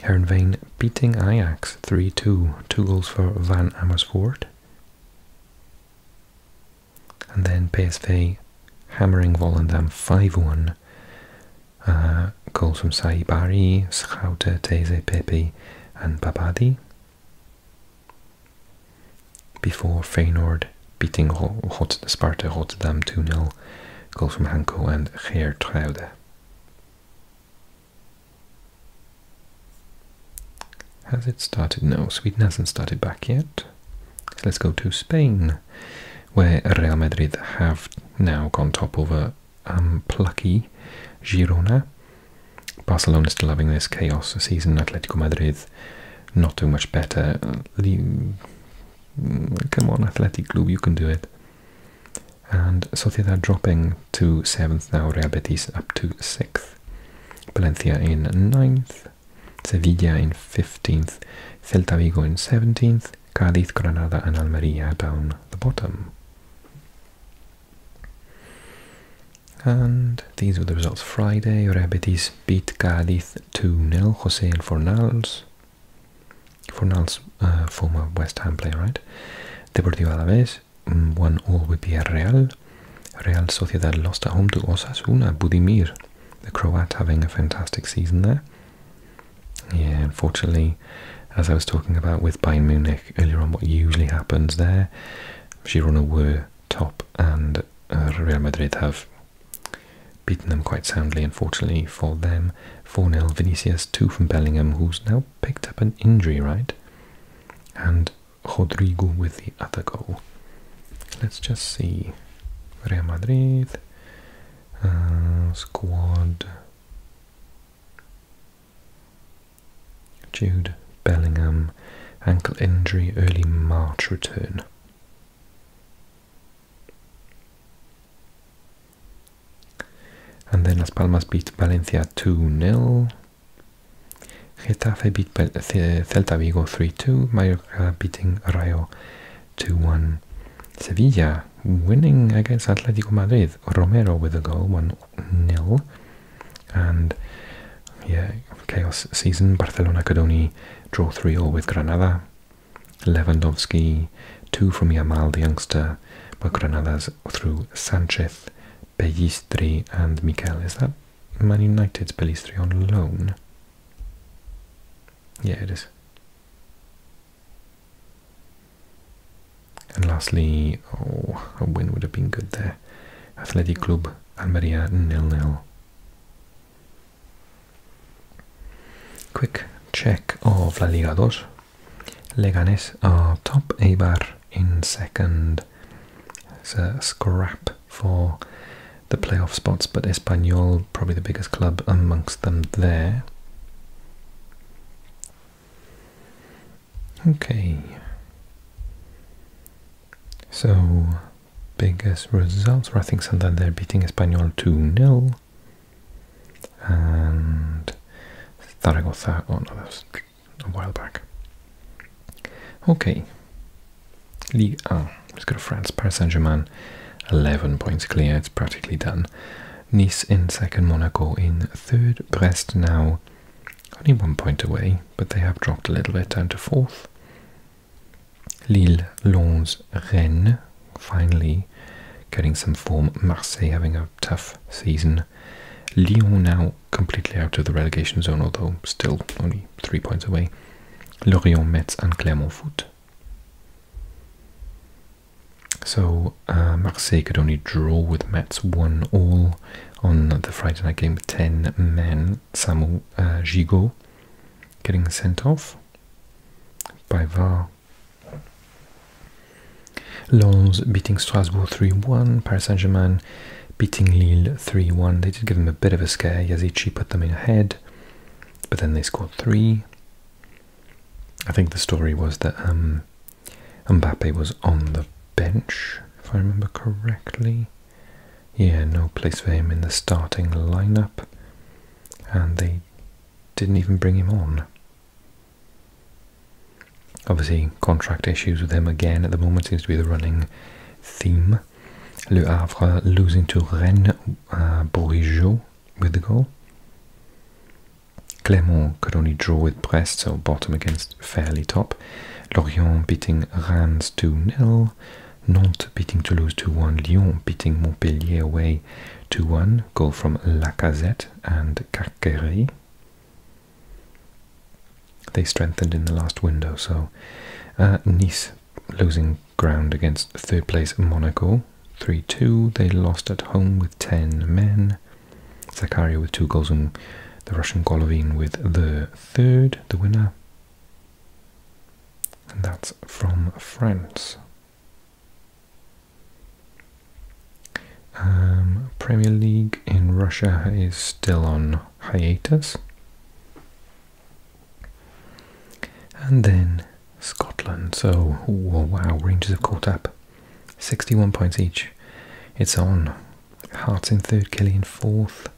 Speaker 1: Herenveen beating Ajax 3-2, two goals for Van Amersfoort. And then PSV hammering Volendam 5-1. Uh, goals from Saibari, Schouter, Teze, Pepe and Babadi. Before Feyenoord beating Rot Sparta Rotterdam 2-0. Goals from Hanko and Geertruide. Has it started? No, Sweden hasn't started back yet. So let's go to Spain, where Real Madrid have now gone top over plucky Girona. Barcelona is still having this chaos season. Atletico Madrid not doing much better. Uh, mm, come on, Athletic Club, you can do it. And Sociedad dropping to 7th now, Real Betis up to 6th. Valencia in 9th, Sevilla in 15th, Celta Vigo in 17th, Cádiz, Granada and Almeria down the bottom. And these were the results Friday. Real Betis beat Cádiz 2-0. Jose and Fornals. Fornals, uh, former West Ham player, right? Deportivo Alaves Mm, one all with Villarreal. Real Sociedad lost at home to Osasuna, Budimir, the Croat having a fantastic season there. Yeah, unfortunately, as I was talking about with Bayern Munich earlier on, what usually happens there, Girona were top and uh, Real Madrid have beaten them quite soundly, unfortunately, for them. 4 nil. Vinicius 2 from Bellingham, who's now picked up an injury, right? And Rodrigo with the other goal. Let's just see. Real Madrid uh, squad. Jude Bellingham ankle injury early March return. And then Las Palmas beat Valencia 2 0. Getafe beat Celta Vigo 3-2, Mallorca beating Rayo 2-1. Sevilla winning against Atletico Madrid, Romero with a goal, one nil And yeah, chaos season, Barcelona could only draw 3-0 with Granada. Lewandowski, 2 from Yamal, the youngster, but Granada's through Sanchez Pellistri and Mikel. Is that Man United Pellistri on loan? Yeah, it is. And lastly, oh, a win would have been good there. Athletic Club Almeria nil-nil. Quick check of La Liga dos. Leganes are top, Eibar in second, it's a scrap for the playoff spots, but Espanyol, probably the biggest club amongst them there. Okay. So, biggest results were I think Santander beating Espanyol 2 0. And Zaragoza, oh no, that a while back. Okay, Ligue ah, 1. Let's go to France. Paris Saint Germain, 11 points clear. It's practically done. Nice in second, Monaco in third, Brest now only one point away, but they have dropped a little bit down to fourth. Lille, Lens, Rennes, finally getting some form. Marseille having a tough season. Lyon now completely out of the relegation zone, although still only three points away. Lorient, Metz, and Clermont Foot. So uh, Marseille could only draw with Metz one all on the Friday night game. with Ten men, Samuel uh, Gigot, getting sent off by VAR. Lens beating Strasbourg 3-1, Paris Saint-Germain beating Lille 3 1. They did give him a bit of a scare. Yazici put them in ahead, but then they scored three. I think the story was that um, Mbappe was on the bench, if I remember correctly. Yeah, no place for him in the starting lineup, and they didn't even bring him on. Obviously, contract issues with him again at the moment seems to be the running theme. Le Havre losing to Rennes, uh, Bourgeot with the goal. Clermont could only draw with Brest, so bottom against fairly top. Lorient beating Rennes 2 0. Nantes beating Toulouse 2 1. Lyon beating Montpellier away 2 1. Goal from Lacazette and Carquerie. They strengthened in the last window, so uh, Nice losing ground against third place Monaco 3 2. They lost at home with 10 men. Zakaria with two goals and the Russian Golovin with the third, the winner. And that's from France. Um, Premier League in Russia is still on hiatus. And then Scotland. So, ooh, wow, ranges have caught up. 61 points each. It's on. Hearts in third, Kelly in fourth.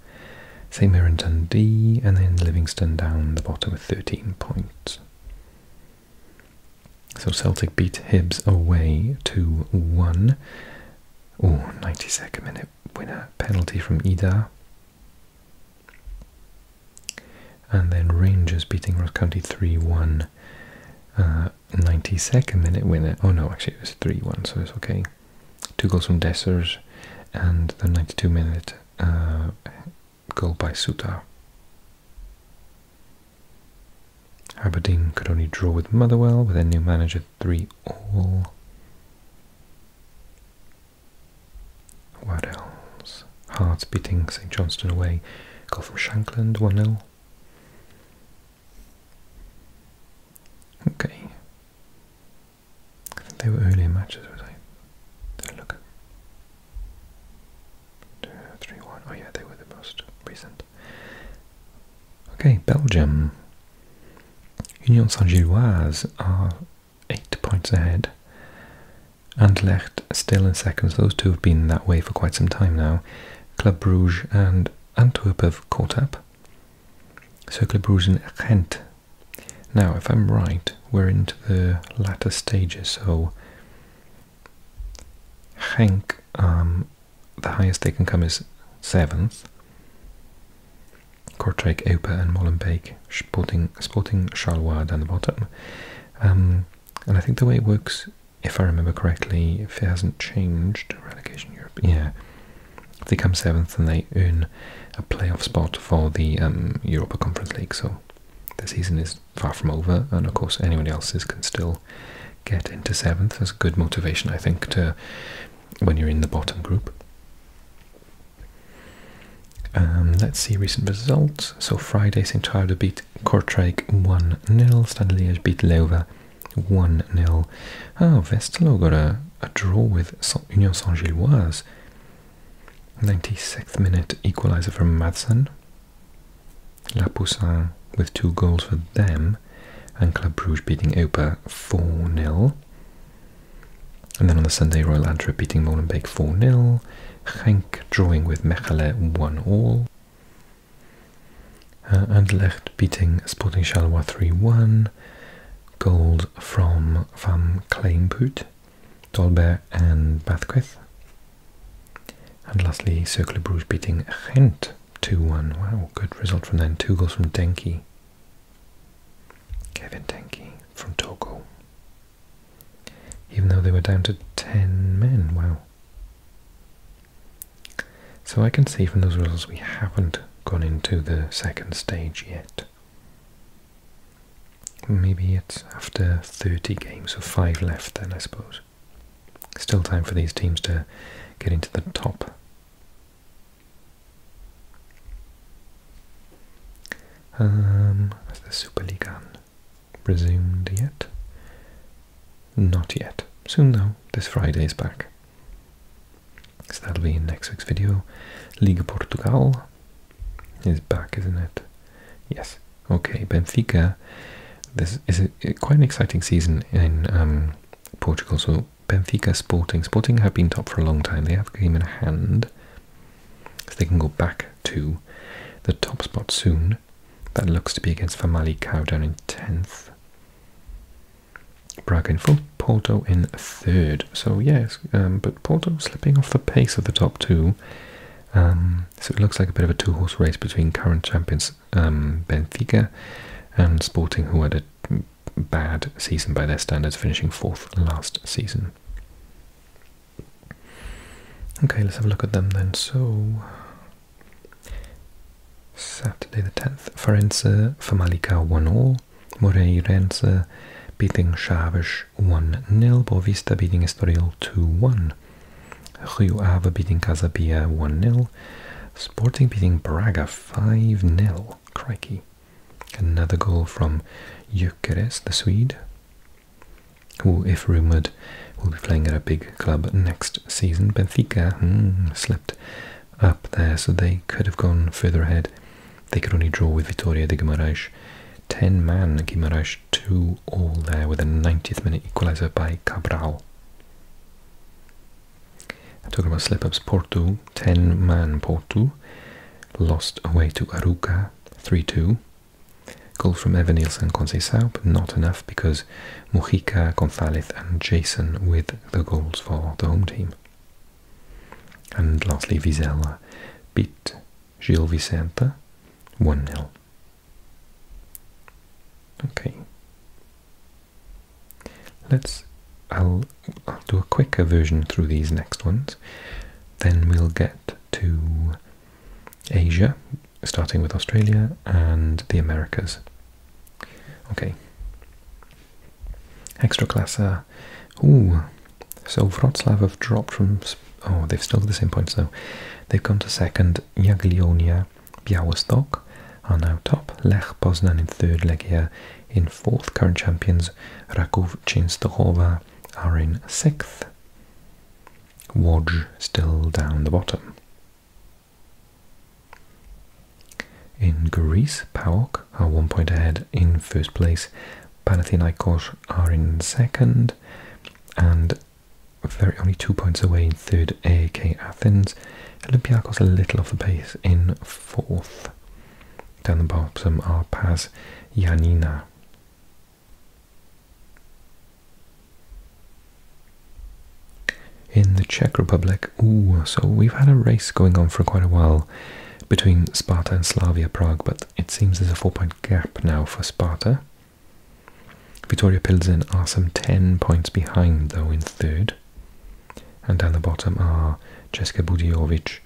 Speaker 1: St Mirren Dundee, and then Livingston down the bottom with 13 points. So Celtic beat Hibs away to 1. Oh, 92nd minute Winner penalty from Ida. And then Rangers beating Ross County 3 1. 92nd uh, minute winner. Oh no, actually it was 3 1, so it's okay. Two goals from Dessers and the 92 minute uh, goal by Sutar. Aberdeen could only draw with Motherwell with a new manager 3 all. What else? Hearts beating St Johnston away. Goal from Shankland 1 0. Okay. they were earlier matches, was I? Don't look at. Oh, yeah, they were the most recent. Okay, Belgium. Union Saint-Gilloise are eight points ahead. Anderlecht still in second, those two have been that way for quite some time now. Club Brugge and Antwerp have caught up. Circle Bruges and Gent. Now, if I'm right, we're into the latter stages, so Genk, um, the highest they can come is 7th. Kortrijk, Eupen and Molenbeek, Sporting, Sporting Charleroi down the bottom. Um, and I think the way it works, if I remember correctly, if it hasn't changed, relegation Europe, yeah, if they come seventh and they earn a playoff spot for the um, Europa Conference League. So the season is far from over, and of course, anyone else's can still get into seventh. That's good motivation, I think, to when you're in the bottom group. Um, let's see recent results. So Friday Sint-Truiden beat Kortrijk 1-0, Standard Liège beat Leuven 1-0. Oh, ah, Vestelo got a, draw with Union Saint-Gilloise. 96th minute equaliser from Madsen. La Poussin with two goals for them. And Club Brugge beating Opa 4-0. And then on the Sunday, Royal Antwerp beating Molenbeek 4-0, Genk drawing with Mechelen 1-all, uh, Anderlecht beating Sporting Charleroi 3-1, gold from Van Kleinput, Dolbert and Bathquith. And lastly, Circle Bruges beating Ghent 2-1. Wow, good result from them. Two goals from Denki. Kevin Tenki from Togo. Even though they were down to 10 men, wow. So I can see from those results we haven't gone into the second stage yet. Maybe it's after 30 games, so 5 left then I suppose. Still time for these teams to get into the top um, has the Superliga um, resumed yet? Not yet. Soon though, this Friday is back. So that'll be in next week's video. Liga Portugal is back, isn't it? Yes. Okay, Benfica. This is quite an exciting season in um, Portugal. So Benfica Sporting. Sporting have been top for a long time. They have a game in hand. So they can go back to the top spot soon. That looks to be against Famalicão down in 10th. Braga in full, Porto in third. So yes, um, but Porto slipping off the pace of the top two. Um, so it looks like a bit of a two-horse race between current champions um, Benfica and Sporting, who had a bad season by their standards, finishing fourth last season. Okay, let's have a look at them then. So, Saturday the 10th, Farense, Famalicão 1-0, Moreirense beating Chaves 1-0, Boavista beating Estoril 2-1, Rio Ave beating Casabia 1-0, Sporting beating Braga 5-0, crikey. Another goal from Gyökeres, the Swede, who, if rumoured, will be playing at a big club next season. Benfica hmm, slipped up there, so they could have gone further ahead. They could only draw with Vitória de Guimarães. 10-man Guimarães 2 all there with a 90th minute equaliser by Cabral. I'm talking about slip-ups, Porto, 10-man Porto lost away to Aruca 3-2. Goal from Evanilson Nielsen Conceição, but not enough because Mujica, Gonzalez and Jason with the goals for the home team. And lastly, Vizela beat Gil Vicente 1-0. Okay. Let's I'll, do a quicker version through these next ones. Then we'll get to Asia, starting with Australia and the Americas. Okay. Ekstraklasa. Uh, ooh. So Wroclaw have dropped from... Oh, they've still got the same points though. they come to second. Jagiellonia, Białystok and now top. Lech Poznan in third. Legia in fourth, current champions Rakov Chinstahova are in sixth. Wodge still down the bottom. In Greece, PAOK are one point ahead in first place. Panathinaikos are in second and very only two points away in third A.K. Athens. Olympiacos a little off the pace in fourth down the bottom are Paz Janina. In the Czech Republic, ooh, so we've had a race going on for quite a while between Sparta and Slavia Prague, but it seems there's a four point gap now for Sparta. Vittoria Pilsen are some 10 points behind, though, in third. And down the bottom are Czeska Budjovic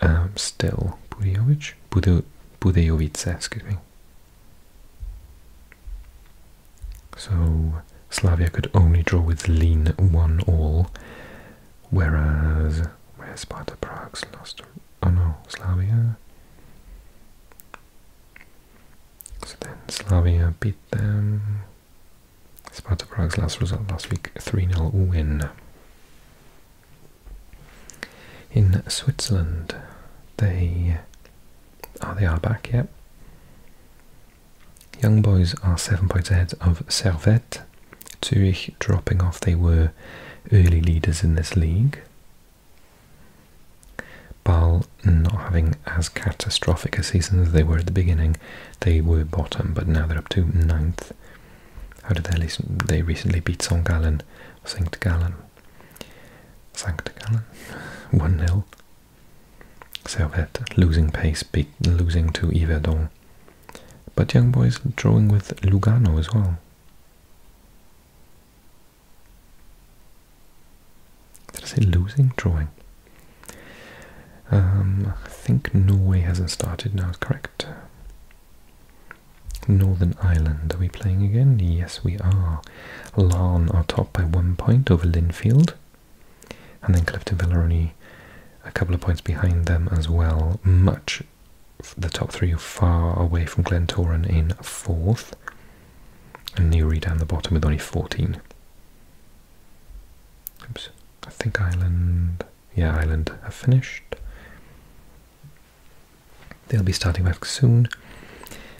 Speaker 1: Ehm, still Budejovic, Bude, Budejovice, excuse me. So Slavia could only draw with Lin. one all, whereas where Sparta Prague's lost. Oh no, Slavia. So then Slavia beat them. Sparta Prague's last result last week, 3 0 win. In Switzerland, they oh they are back. Yep. Young boys are seven points ahead of Servette. Zurich dropping off. They were early leaders in this league. Bal not having as catastrophic a season as they were at the beginning. They were bottom, but now they're up to ninth. How did they They recently beat St. Gallen, St. Gallen, St. Gallen, one 0 Servette losing pace, losing to Yverdon. But Young Boys drawing with Lugano as well. Did I say losing? Drawing. Um, I think Norway hasn't started now, correct? Northern Ireland, are we playing again? Yes, we are. Larn are top by one point over Linfield. And then Cliftonville are only a couple of points behind them as well. Much the top three are far away from Glentoran in fourth. And Newry down the bottom with only 14. Oops, I think Ireland yeah, Ireland have finished. They'll be starting back soon.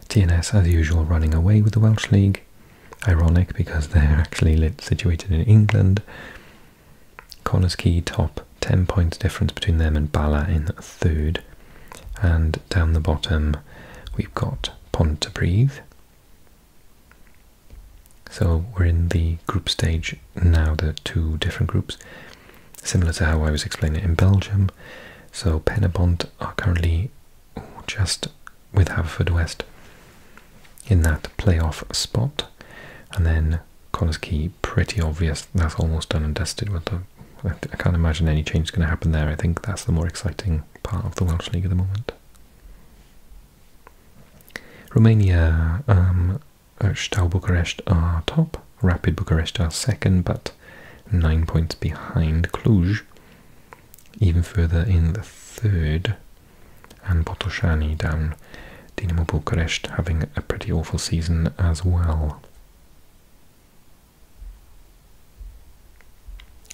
Speaker 1: TNS, as usual, running away with the Welsh League. Ironic because they're actually situated in England. Connors top, 10 points difference between them and Bala in third. And down the bottom, we've got Pontypridd, so we're in the group stage now, the two different groups, similar to how I was explaining in Belgium. So Pennebont are currently just with Haverfordwest in that playoff spot. And then Konoski, pretty obvious, that's almost done and dusted with I can't imagine any change is going to happen there. I think that's the more exciting part of the Welsh League at the moment. Romania, um, uh, Stau Bucharest are top, Rapid Bucharest are second, but nine points behind Cluj, even further in the third, and Botoshani down. Dinamo Bucharest having a pretty awful season as well.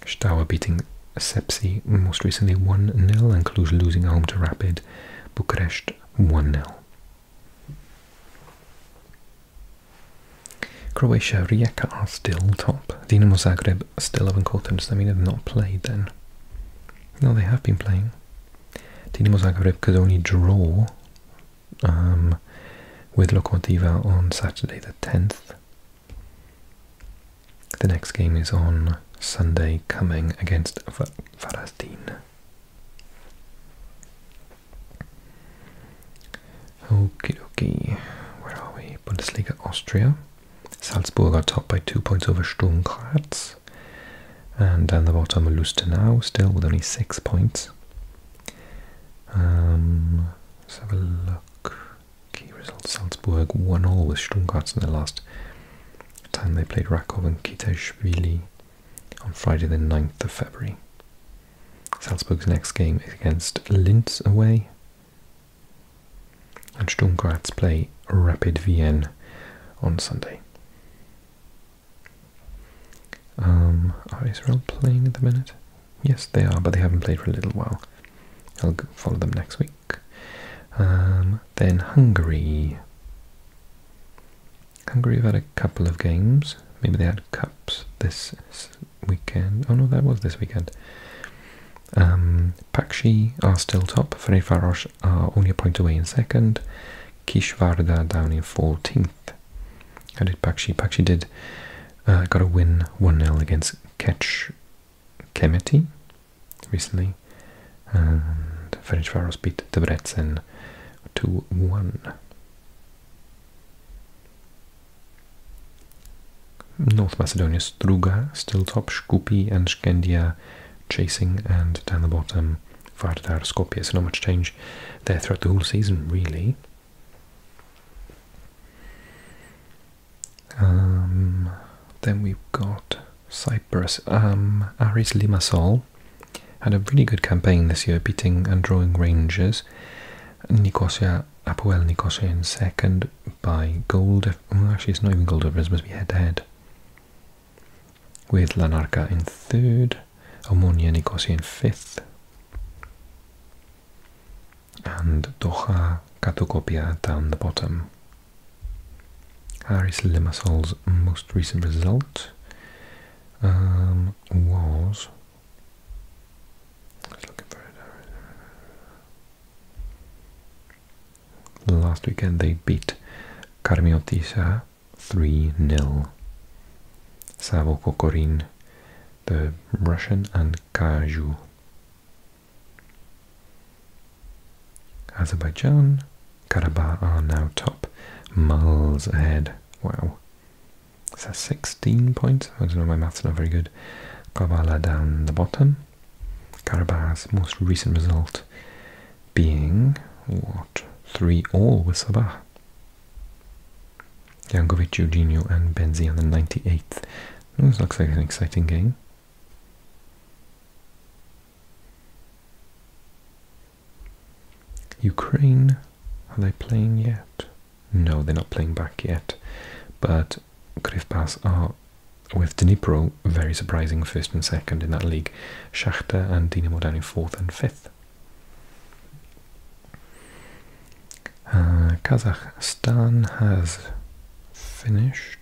Speaker 1: Staua beating Sepsi most recently 1-0 and Cluj losing home to Rapid. Bucharest 1 0. Croatia, Rijeka are still top. Dinamo Zagreb still haven't caught them. Does that mean they've not played then? No, they have been playing. Dinamo Zagreb could only draw um, with Lokomotiva on Saturday the 10th. The next game is on Sunday coming against Varazdin. Okay, okay. where are we? Bundesliga Austria. Salzburg are top by two points over Sturm Graz. And down the bottom, Lustenau, still with only six points. Um, let's have a look. Key result: Salzburg 1 all with Sturm Graz in the last time they played Rakov and Kiteshvili on Friday the 9th of February. Salzburg's next game is against Linz away. And Sturm Graz play Rapid Vienna on Sunday. Um, are Israel playing at the minute? Yes, they are, but they haven't played for a little while. I'll follow them next week. Um, then Hungary Hungary have had a couple of games. Maybe they had cups this weekend. Oh no, that was this weekend. Um, Pakshi are still top. Ferencvaros are only a point away in second. Kishvarda down in 14th. How did Pakshi? Pakshi did uh, got a win 1 0 against Ketch Kemeti recently. And French Faroes beat Debrecen 2-1. North Macedonia, Struga, still top, Shkupi and Skendia chasing, and down the bottom, Vardar, Skopje. So not much change there throughout the whole season, really. Um, then we've got Cyprus. Um, Aris Limassol had a really good campaign this year, beating and drawing Rangers. Nicosia, Apoel Nicosia in second by gold. actually, it's not even gold. difference, it must be head to head. With Lanarka in third, Omonia Nicosia in fifth, and Doha Katokopia down the bottom. Haris Lemasol's most recent result um, was. Last weekend they beat Carmiotisa uh, 3 0. Savo Kokorin, the Russian, and Kaju. Azerbaijan Karabakh oh, are now top, miles ahead. Wow. Is that 16 points? I don't know, my math's not very good. Kabbalah down the bottom. Karabagh's most recent result being, what, 3 all with Sabah. Jankovic, Jorginho and Benzi on the 98th. This looks like an exciting game. Ukraine, are they playing yet? No, they're not playing back yet. But Krivbas are, with Dnipro, very surprising first and second in that league. Shakhtar and Dinamo down in fourth and fifth. Uh, Kazakhstan has finished.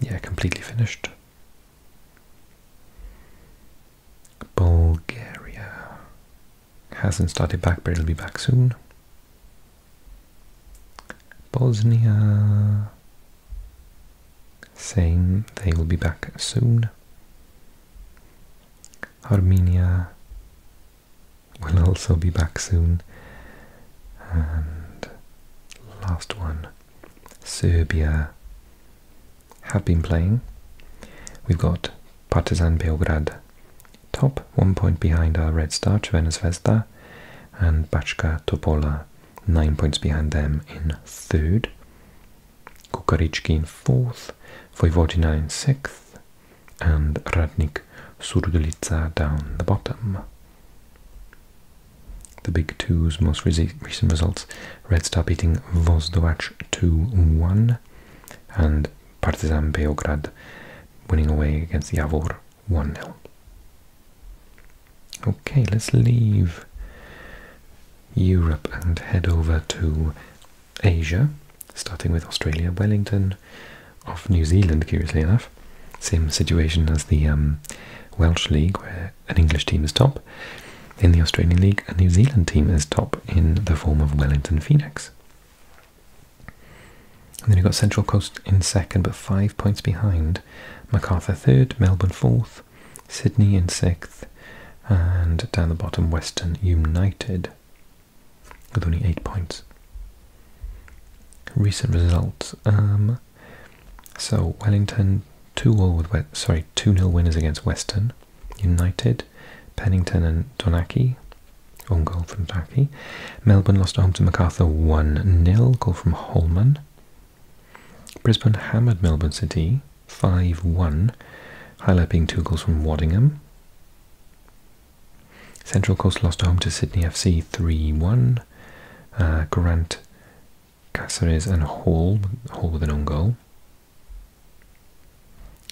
Speaker 1: Yeah, completely finished. Bulgaria hasn't started back, but it'll be back soon. Bosnia saying they will be back soon. Armenia will also be back soon. And last one, Serbia have been playing. We've got Partizan Beograd top, one point behind our Red Star, Crvena Zvezda, and Bačka Topola, nine points behind them in third. Kukarički in fourth, Vojvodina in sixth, and Radnik Surdulica down the bottom. The Big Two's most recent results, Red Star beating Vozdovach 2-1 and Partizan Beograd winning away against Javor 1-0. Okay, let's leave Europe and head over to Asia, starting with Australia, Wellington, of New Zealand, curiously enough. Same situation as the um, Welsh League, where an English team is top, in the Australian League. A New Zealand team is top in the form of Wellington Phoenix. then you've got Central Coast in second, but five points behind. MacArthur third, Melbourne fourth, Sydney in sixth, and down the bottom, Western United with only eight points. Recent results. Um, so Wellington two all with sorry two 0 winners against Western United, Pennington and Donaki, own goal from Donaki. Melbourne lost home to Macarthur one 0 goal from Holman. Brisbane hammered Melbourne City five one, highlight being two goals from Waddingham. Central Coast lost home to Sydney FC 3 1. Uh, Grant Cáceres and Hall, Hall with an own goal.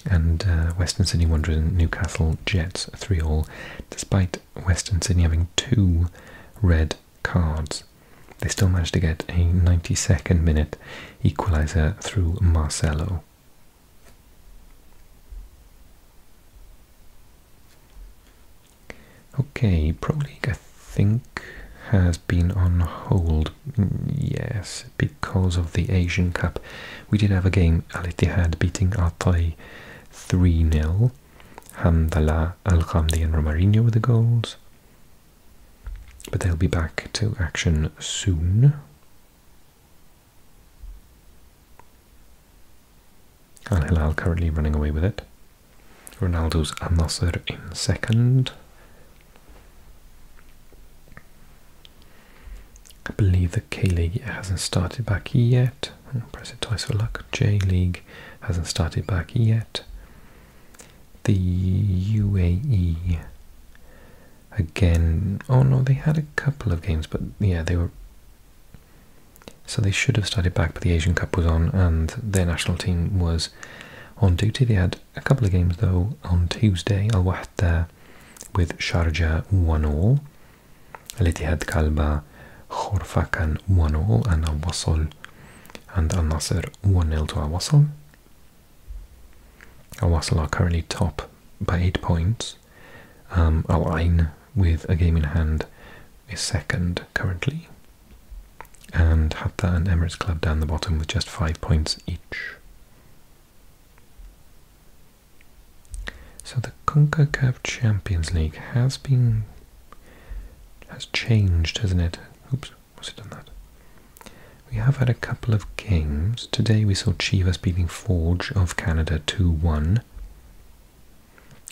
Speaker 1: And uh, Western Sydney Wanderers and Newcastle Jets, 3 all, despite Western Sydney having two red cards. They still managed to get a 92nd minute equaliser through Marcelo. Okay, probably League, think has been on hold, yes, because of the Asian Cup. We did have a game, Al Ittihad beating Atay 3 0. Hamdallah, Al Ghamdi, and Romarino with the goals. But they'll be back to action soon. Al Hilal currently running away with it. Ronaldo's Al Nasser in second. I believe the K League hasn't started back yet. press it twice for luck. J League hasn't started back yet. The UAE again. Oh no, they had a couple of games, but yeah, they were. So they should have started back, but the Asian Cup was on, and their national team was on duty. They had a couple of games though on Tuesday, Al with Sharjah 1 0, Al Ittihad Kalba Khorfakan 1 0, and Al and Al Nasser 1 0 to Al Wasl. are currently top by 8 points. Um, with a game in hand, is second currently and Hatta and Emirates Club down the bottom with just five points each. So the CONCACAF Champions League has been has changed, hasn't it? Oops, was it done that? We have had a couple of games. Today we saw Chivas beating Forge of Canada 2-1.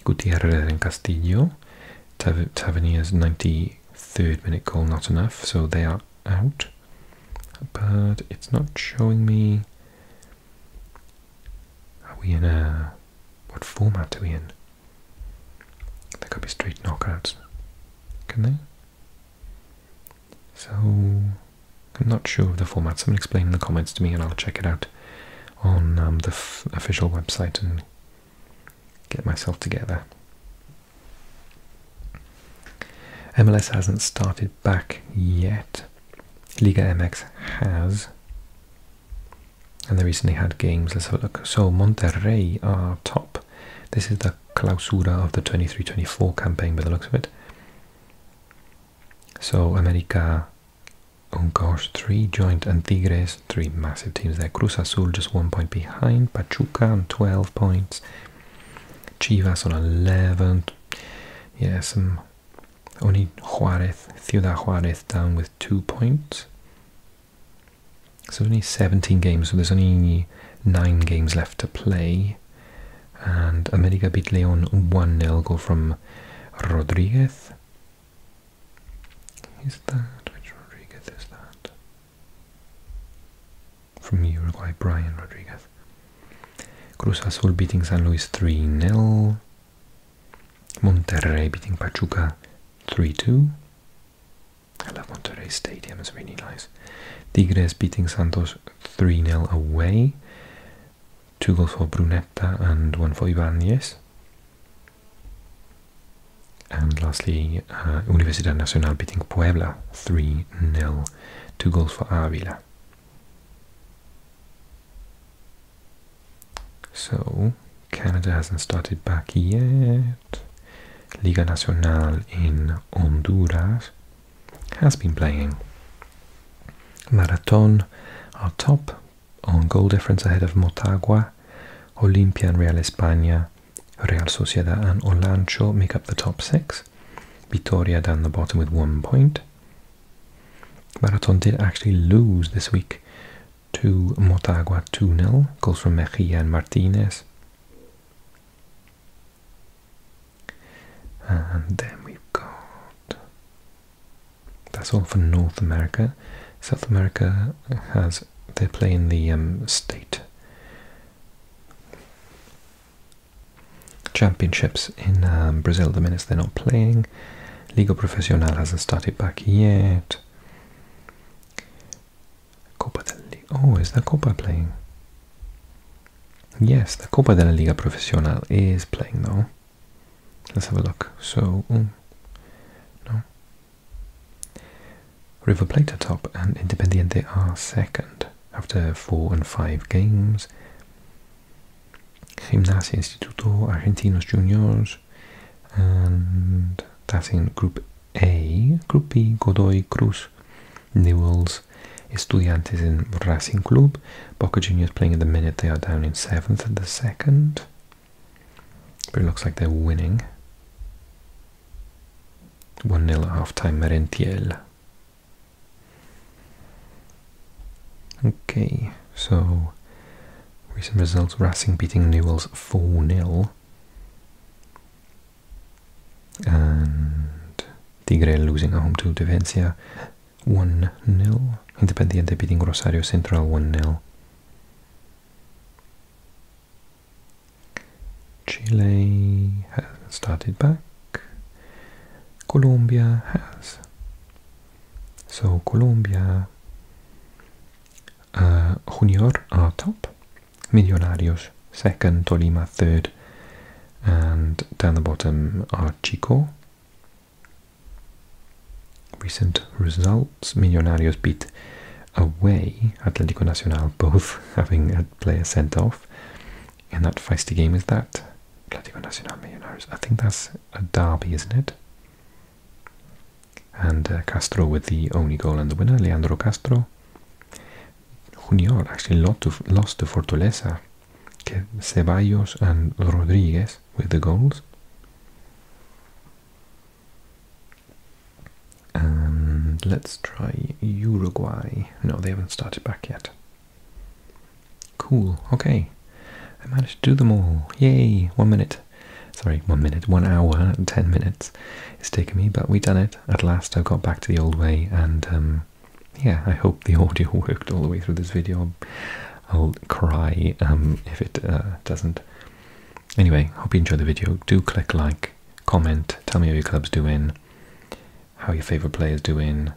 Speaker 1: Gutierrez and Castillo. Tav 93rd minute goal, not enough, so they are out but it's not showing me are we in a uh, what format are we in there could be straight knockouts can they so i'm not sure of the format someone explain in the comments to me and i'll check it out on um, the official website and get myself together MLS hasn't started back yet. Liga MX has. And they recently had games. Let's have a look. So Monterrey are top. This is the clausura of the twenty three twenty four campaign by the looks of it. So America, oh gosh, three joint and Tigres, three massive teams there. Cruz Azul just one point behind. Pachuca on 12 points. Chivas. on 11th. yes. Mm. Only Juarez, Ciudad Juarez down with two points. So only 17 games, so there's only nine games left to play. And America beat Leon 1 nil goal from Rodriguez. Is that? Which Rodriguez is that? from Uruguay, Brian Rodriguez. Cruz Azul beating San Luis 3-0. Monterrey beating Pachuca 3-2. I love Monterrey Stadium, it's really nice. Tigres beating Santos 3-0 away. Two goals for Brunetta and one for Ibanez. And lastly, uh, Universidad Nacional beating Puebla 3 0, two goals for Avila. So, Canada hasn't started back yet. Liga Nacional in Honduras has been playing. Marathon are top on goal difference ahead of Motagua, Olimpia and Real España Real Sociedad and Olancho make up the top six. Vitoria down the bottom with one point. Marathon did actually lose this week to Motagua 2-0. Goals from Mejia and Martinez. And then we've got... That's all for North America. South America has... They're playing the um, state championships in um, Brazil the minutes they're not playing. Liga Profesional hasn't started back yet. Copa del Oh, is the Copa playing? Yes, the Copa de la Liga Profesional is playing though. Let's have a look. So, um, no. River Plate are top and Independiente are second after four and five games. Gimnasia Instituto, Argentinos Juniors, and that's in Group A. Group B, Godoy Cruz, Newells, Estudiantes in Racing Club. Boca Juniors playing at the minute, they are down in seventh at the second. But it looks like they're winning. 1 0 halftime Merentiel. Okay, so recent results Racing beating Newell's 4 0. And Tigre losing at home to Defensa 1 0. Independiente beating Rosario Central 1 0. Chile has started back. Colombia has. So Colombia, uh, Junior are top, Millonarios second, Tolima third, and down the bottom are Chico. Recent results, Millonarios beat away Atlético Nacional, both having Player sent off. And that feisty game is that I think that's a derby, isn't it? And uh, Castro with the only goal and the winner, Leandro Castro. Junior actually lost to, lost to Fortaleza. Ceballos and Rodriguez with the goals. And let's try Uruguay. No, they haven't started back yet. Cool, okay. I managed to do them all. Yay, one minute. Sorry, one minute, one hour and ten minutes. It's taken me, but we have done it. At last I have got back to the old way and um, yeah, I hope the audio worked all the way through this video. I'll cry um, if it uh, doesn't. Anyway, hope you enjoyed the video. Do click like, comment, tell me how your club's do in how your favourite players is doing.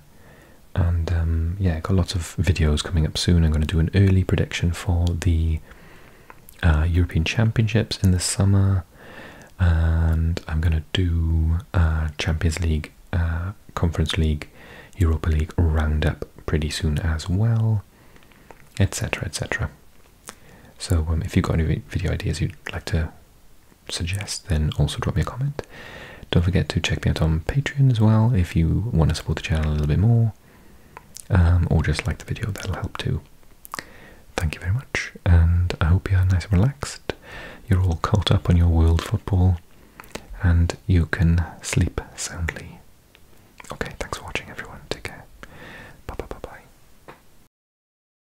Speaker 1: And um, yeah, got lots of videos coming up soon. I'm going to do an early prediction for the uh, European Championships in the summer, and I'm going to do uh, Champions League, uh, Conference League, Europa League roundup pretty soon as well, etc. etc. So, um, if you've got any video ideas you'd like to suggest, then also drop me a comment. Don't forget to check me out on Patreon as well if you want to support the channel a little bit more, um, or just like the video, that'll help too. Thank you very much, and I hope you're nice and relaxed. You're all caught up on your world football, and you can sleep soundly. Okay, thanks for watching, everyone. Take care. Bye bye bye bye.